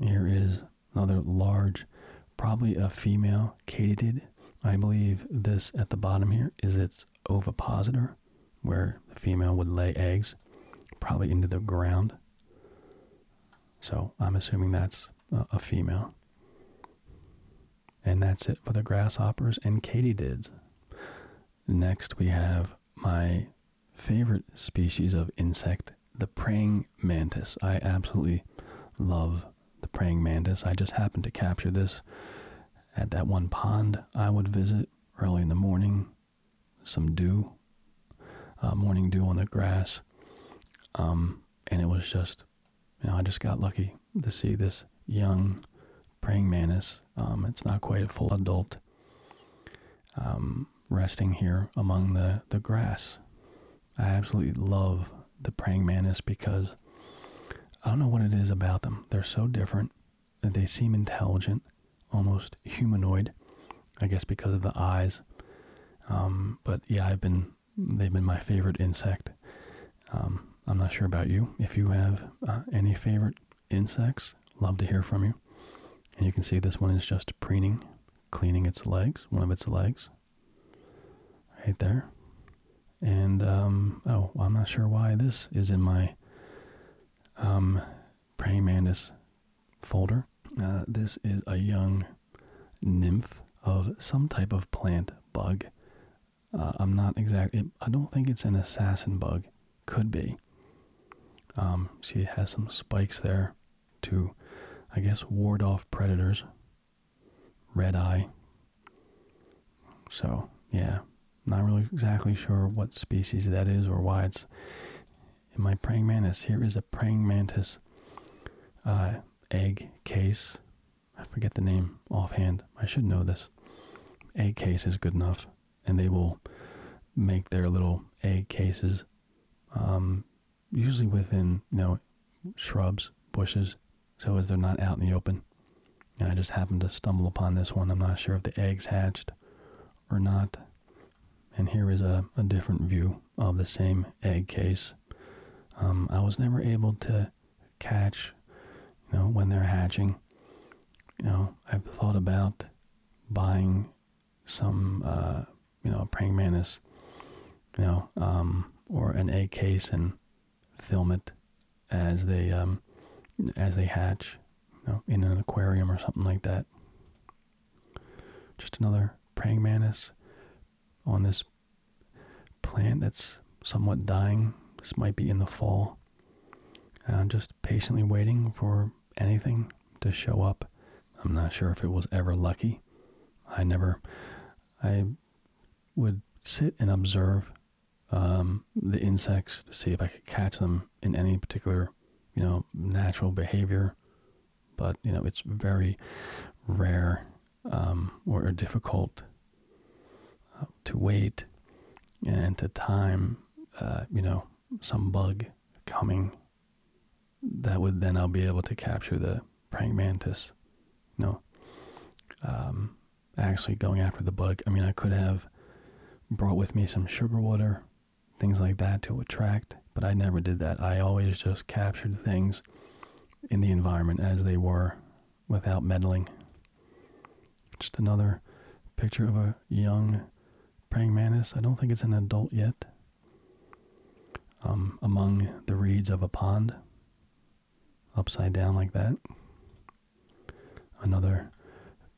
Here is another large, probably a female katydid. I believe this at the bottom here is its ovipositor, where the female would lay eggs, probably into the ground. So I'm assuming that's a, female. And that's it for the grasshoppers and katydids. Next, we have my favorite species of insect, the praying mantis. I absolutely love the praying mantis. I just happened to capture this at that one pond I would visit early in the morning. Some dew, uh, morning dew on the grass. Um, and it was just, you know, I just got lucky to see this young praying mantis. Um, it's not quite a full adult. Um, resting here among the, the grass. I absolutely love the praying mantis because I don't know what it is about them. They're so different. They seem intelligent, almost humanoid, I guess because of the eyes. Um, but yeah, I've been they've been my favorite insect. Um, I'm not sure about you. If you have uh, any favorite insects, love to hear from you. And you can see this one is just preening, cleaning its legs, one of its legs, right there. And, um, oh, I'm not sure why this is in my um, praying mantis folder. Uh, this is a young nymph of some type of plant bug uh, I'm not exactly. I don't think it's an assassin bug. Could be. Um, see, it has some spikes there to, I guess, ward off predators. Red eye. So, yeah, not really exactly sure what species that is or why it's in my praying mantis. Here is a praying mantis uh, egg case. I forget the name offhand. I should know this. Egg case is good enough and they will make their little egg cases, um, usually within you know shrubs, bushes, so as they're not out in the open. I just happened to stumble upon this one. I'm not sure if the eggs hatched or not. And here is a, a different view of the same egg case. Um, I was never able to catch, you know, when they're hatching you know, I've thought about buying some, uh, you know, praying mantis, you know, um, or an egg case and film it as they, um, as they hatch, you know, in an aquarium or something like that. Just another praying mantis on this plant that's somewhat dying. This might be in the fall. I'm uh, just patiently waiting for anything to show up. I'm not sure if it was ever lucky. I never, I would sit and observe um, the insects to see if I could catch them in any particular, you know, natural behavior. But, you know, it's very rare um, or difficult uh, to wait and to time uh, you know, some bug coming that would then I'll be able to capture the prank mantis. No, um, actually going after the bug. I mean, I could have brought with me some sugar water, things like that to attract, but I never did that. I always just captured things in the environment as they were without meddling. Just another picture of a young praying mantis. I don't think it's an adult yet. Um, among the reeds of a pond, upside down like that. Another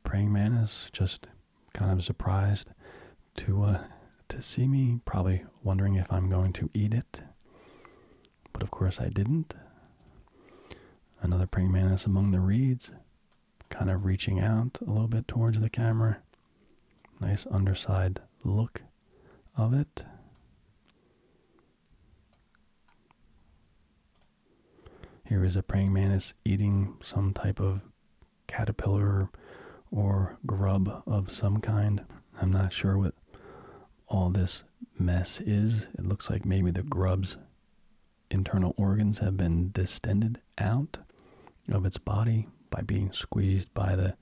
praying mantis, just kind of surprised to uh, to see me, probably wondering if I'm going to eat it. But of course I didn't. Another praying mantis among the reeds kind of reaching out a little bit towards the camera. Nice underside look of it. Here is a praying mantis eating some type of caterpillar or grub of some kind. I'm not sure what all this mess is. It looks like maybe the grubs internal organs have been distended out of its body by being squeezed by the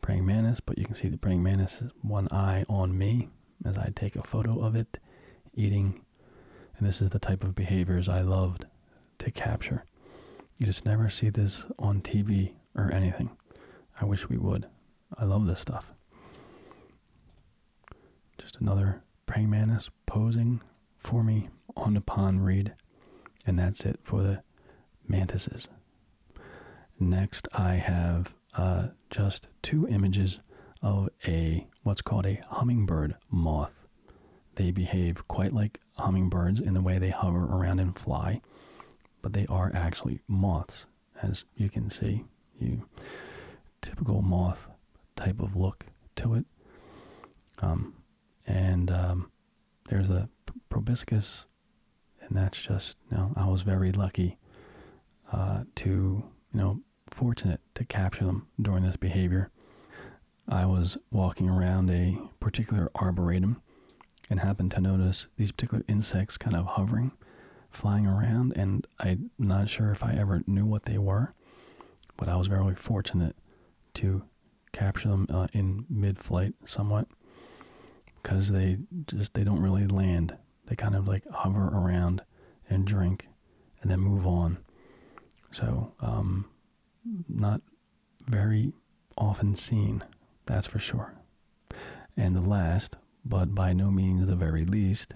praying mantis. But you can see the praying mantis one eye on me as I take a photo of it eating. And this is the type of behaviors I loved to capture. You just never see this on TV or anything. I wish we would. I love this stuff. Just another praying mantis posing for me on the pond reed. And that's it for the mantises. Next, I have uh, just two images of a what's called a hummingbird moth. They behave quite like hummingbirds in the way they hover around and fly, but they are actually moths, as you can see. You typical moth type of look to it. Um, and um, there's a proboscis, and that's just, you I was very lucky uh, to, you know, fortunate to capture them during this behavior. I was walking around a particular arboretum and happened to notice these particular insects kind of hovering, flying around, and I'm not sure if I ever knew what they were, but I was very fortunate to capture them uh, in mid-flight somewhat because they just they don't really land. They kind of like hover around and drink and then move on. So um, not very often seen, that's for sure. And the last, but by no means the very least,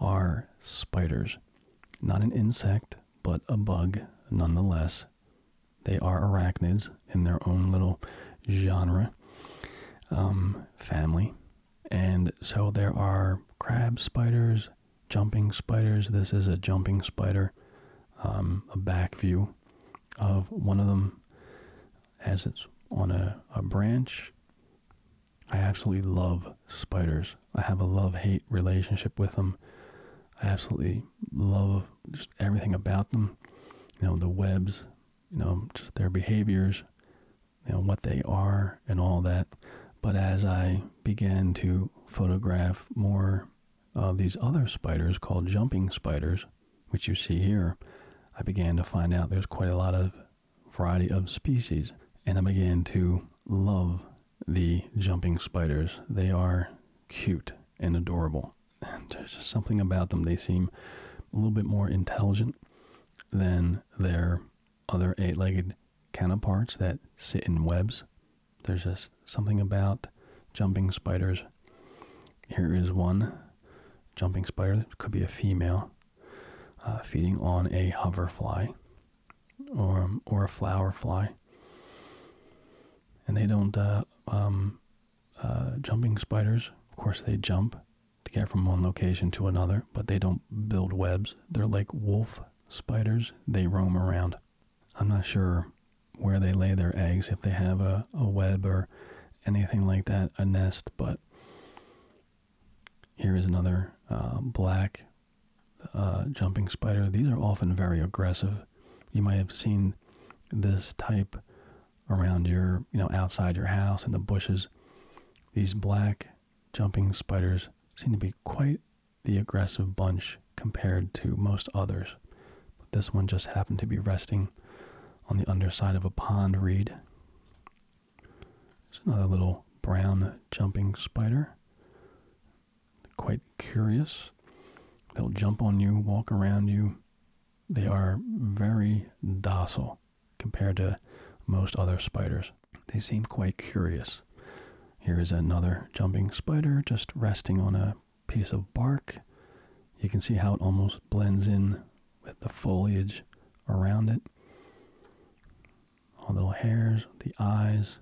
are spiders. Not an insect, but a bug nonetheless. They are arachnids in their own little genre, um, family. And so there are crab spiders, jumping spiders. This is a jumping spider, um, a back view of one of them as it's on a branch. I absolutely love spiders. I have a love hate relationship with them. I absolutely love just everything about them. You know, the webs, you know, just their behaviors, you know, what they are and all that. But as I began to photograph more of these other spiders called jumping spiders, which you see here, I began to find out there's quite a lot of variety of species. And I began to love the jumping spiders. They are cute and adorable. There's just something about them. They seem a little bit more intelligent than their other eight legged counterparts that sit in webs. There's just something about jumping spiders. Here is one jumping spider, could be a female, uh, feeding on a hoverfly or um, or a flower fly, and they don't. Uh, um, uh, jumping spiders, of course, they jump to get from one location to another, but they don't build webs. They're like wolf spiders. They roam around. I'm not sure where they lay their eggs, if they have a, a web or anything like that, a nest, but here is another uh, black uh, jumping spider. These are often very aggressive. You might have seen this type around your, you know, outside your house in the bushes. These black jumping spiders seem to be quite the aggressive bunch compared to most others. But this one just happened to be resting on the underside of a pond reed. There's another little brown jumping spider quite curious. They'll jump on you, walk around you. They are very docile compared to most other spiders. They seem quite curious. Here is another jumping spider just resting on a piece of bark. You can see how it almost blends in with the foliage around it. All the little hairs, the eyes,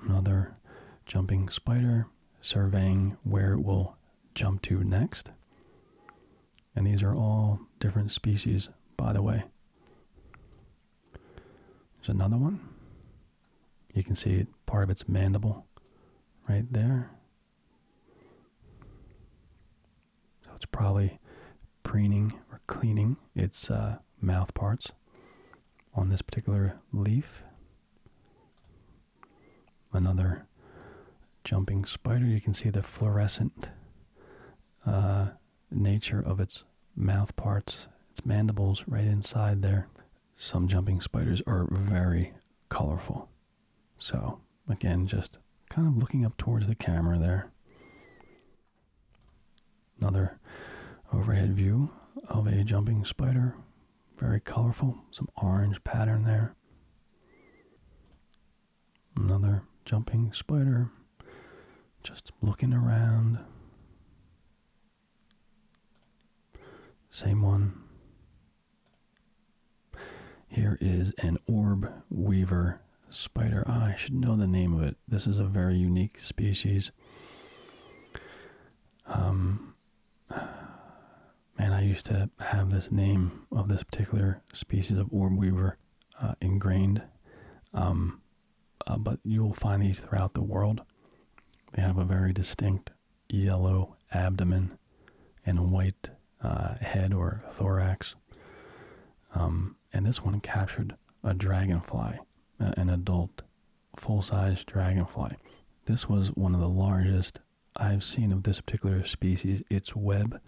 Another jumping spider surveying where it will jump to next. And these are all different species, by the way. There's another one. You can see part of its mandible right there. So it's probably preening or cleaning its uh, mouth parts on this particular leaf. Another jumping spider. You can see the fluorescent uh, nature of its mouth parts, its mandibles right inside there. Some jumping spiders are very colorful. So Again, just kind of looking up towards the camera there. Another overhead view of a jumping spider. Very colorful, some orange pattern there. Another jumping spider. Just looking around. Same one. Here is an orb weaver spider. I should know the name of it. This is a very unique species. Um, man, I used to have this name of this particular species of orb weaver uh, ingrained. Um, uh, but you'll find these throughout the world. They have a very distinct yellow abdomen and white uh, head or thorax. Um, and this one captured a dragonfly, an adult full-size dragonfly. This was one of the largest I've seen of this particular species. Its web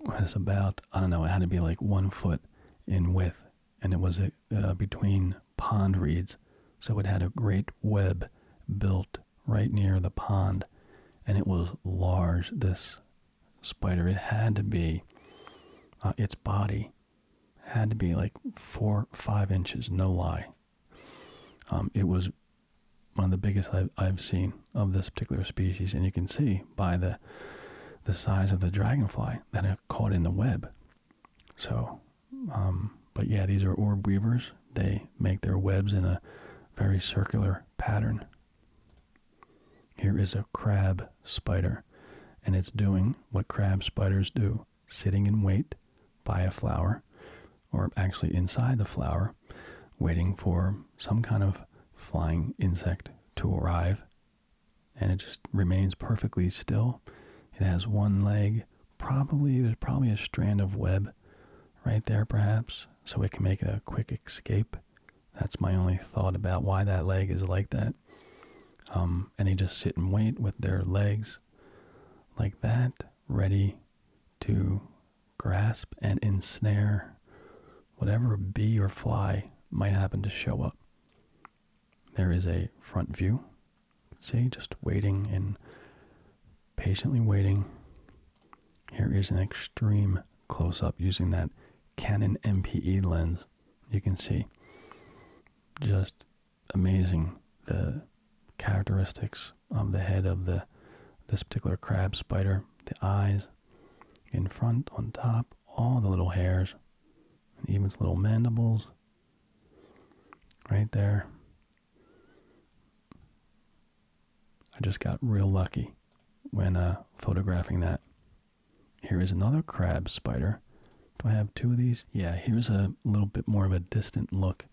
was about, I don't know, it had to be like one foot in width, and it was uh, uh, between pond reeds. So it had a great web built right near the pond, and it was large. This spider. It had to be, uh, its body had to be like four, five inches, no lie. Um, it was one of the biggest I've, seen of this particular species, and you can see by the the size of the dragonfly that I caught in the web. So, um, but yeah, these are orb weavers. They make their webs in a very circular pattern. Here is a crab spider, and it's doing what crab spiders do sitting in wait by a flower, or actually inside the flower, waiting for some kind of flying insect to arrive. And it just remains perfectly still. It has one leg. Probably, there's probably a strand of web right there, perhaps, so it can make a quick escape that's my only thought about why that leg is like that. Um, and they just sit and wait with their legs like that, ready to grasp and ensnare whatever bee or fly might happen to show up. There is a front view. See, just waiting and patiently waiting here is an extreme close up using that Canon MPE lens. You can see just amazing the characteristics of the head of the this particular crab spider, the eyes in front, on top, all the little hairs, and even its little mandibles right there. I just got real lucky when uh, photographing that. Here is another crab spider. Do I have two of these? Yeah, here's a little bit more of a distant look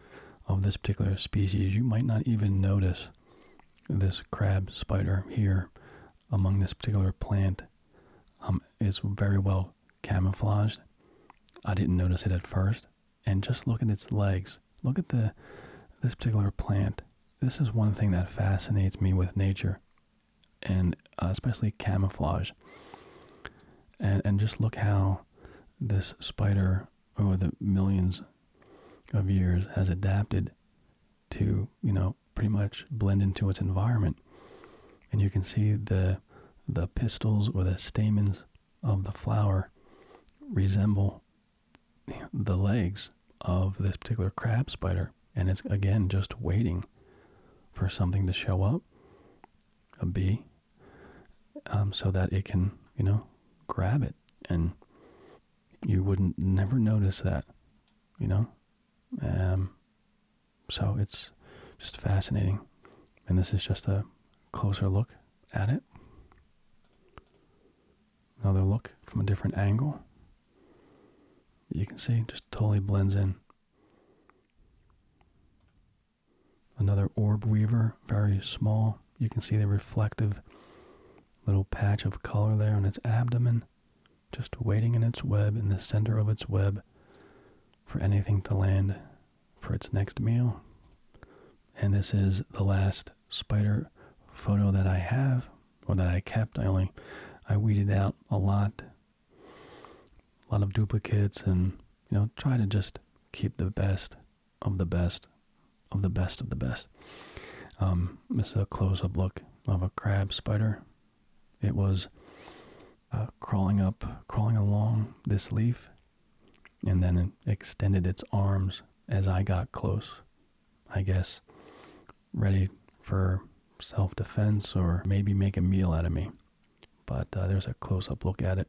of this particular species. You might not even notice this crab spider here among this particular plant. Um, it's very well camouflaged. I didn't notice it at first. And just look at its legs. Look at the this particular plant this is one thing that fascinates me with nature and uh, especially camouflage. And, and just look how this spider over the millions of years has adapted to, you know, pretty much blend into its environment. And you can see the the pistils or the stamens of the flower resemble the legs of this particular crab spider. And it's again just waiting for something to show up, a bee, um, so that it can, you know, grab it. And you wouldn't never notice that, you know? Um, so it's just fascinating. And this is just a closer look at it another look from a different angle. You can see just totally blends in. Another orb weaver, very small. You can see the reflective little patch of color there on its abdomen, just waiting in its web, in the center of its web, for anything to land for its next meal. And this is the last spider photo that I have or that I kept. I only I weeded out a lot, a lot of duplicates, and you know try to just keep the best of the best of the best of the best. Um, this is a close-up look of a crab spider. It was uh, crawling up, crawling along this leaf, and then it extended its arms as I got close. I guess ready for self defense or maybe make a meal out of me. But uh, there's a close up look at it.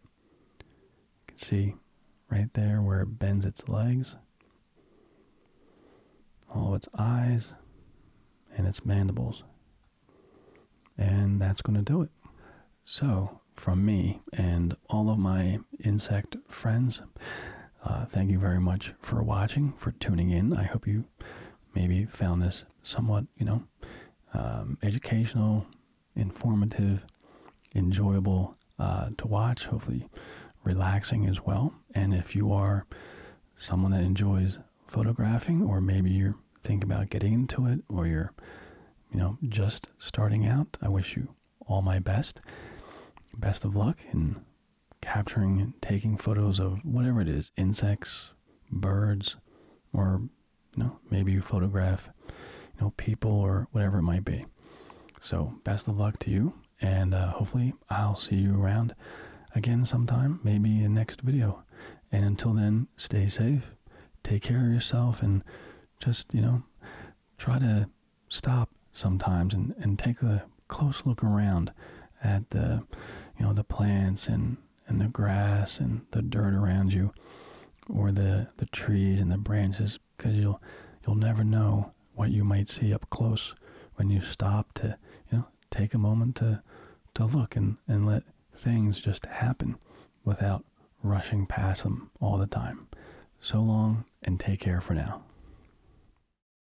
You can see right there where it bends its legs, all of its eyes, and its mandibles. And that's going to do it. So, from me and all of my insect friends, uh, thank you very much for watching, for tuning in. I hope you maybe found this somewhat, you know, um, educational, informative, enjoyable uh, to watch, hopefully relaxing as well. And if you are someone that enjoys photographing, or maybe you're thinking about getting into it, or you're, you know, just starting out, I wish you all my best. Best of luck, and capturing, taking photos of whatever it is, insects, birds, or you know, maybe you photograph, you know, people or whatever it might be. So best of luck to you, and uh, hopefully I'll see you around again sometime, maybe the next video. And until then, stay safe, take care of yourself, and just you know, try to stop sometimes and, and take a close look around at the you know the plants and and the grass and the dirt around you or the the trees and the branches because you'll you'll never know what you might see up close when you stop to you know take a moment to to look and and let things just happen without rushing past them all the time so long and take care for now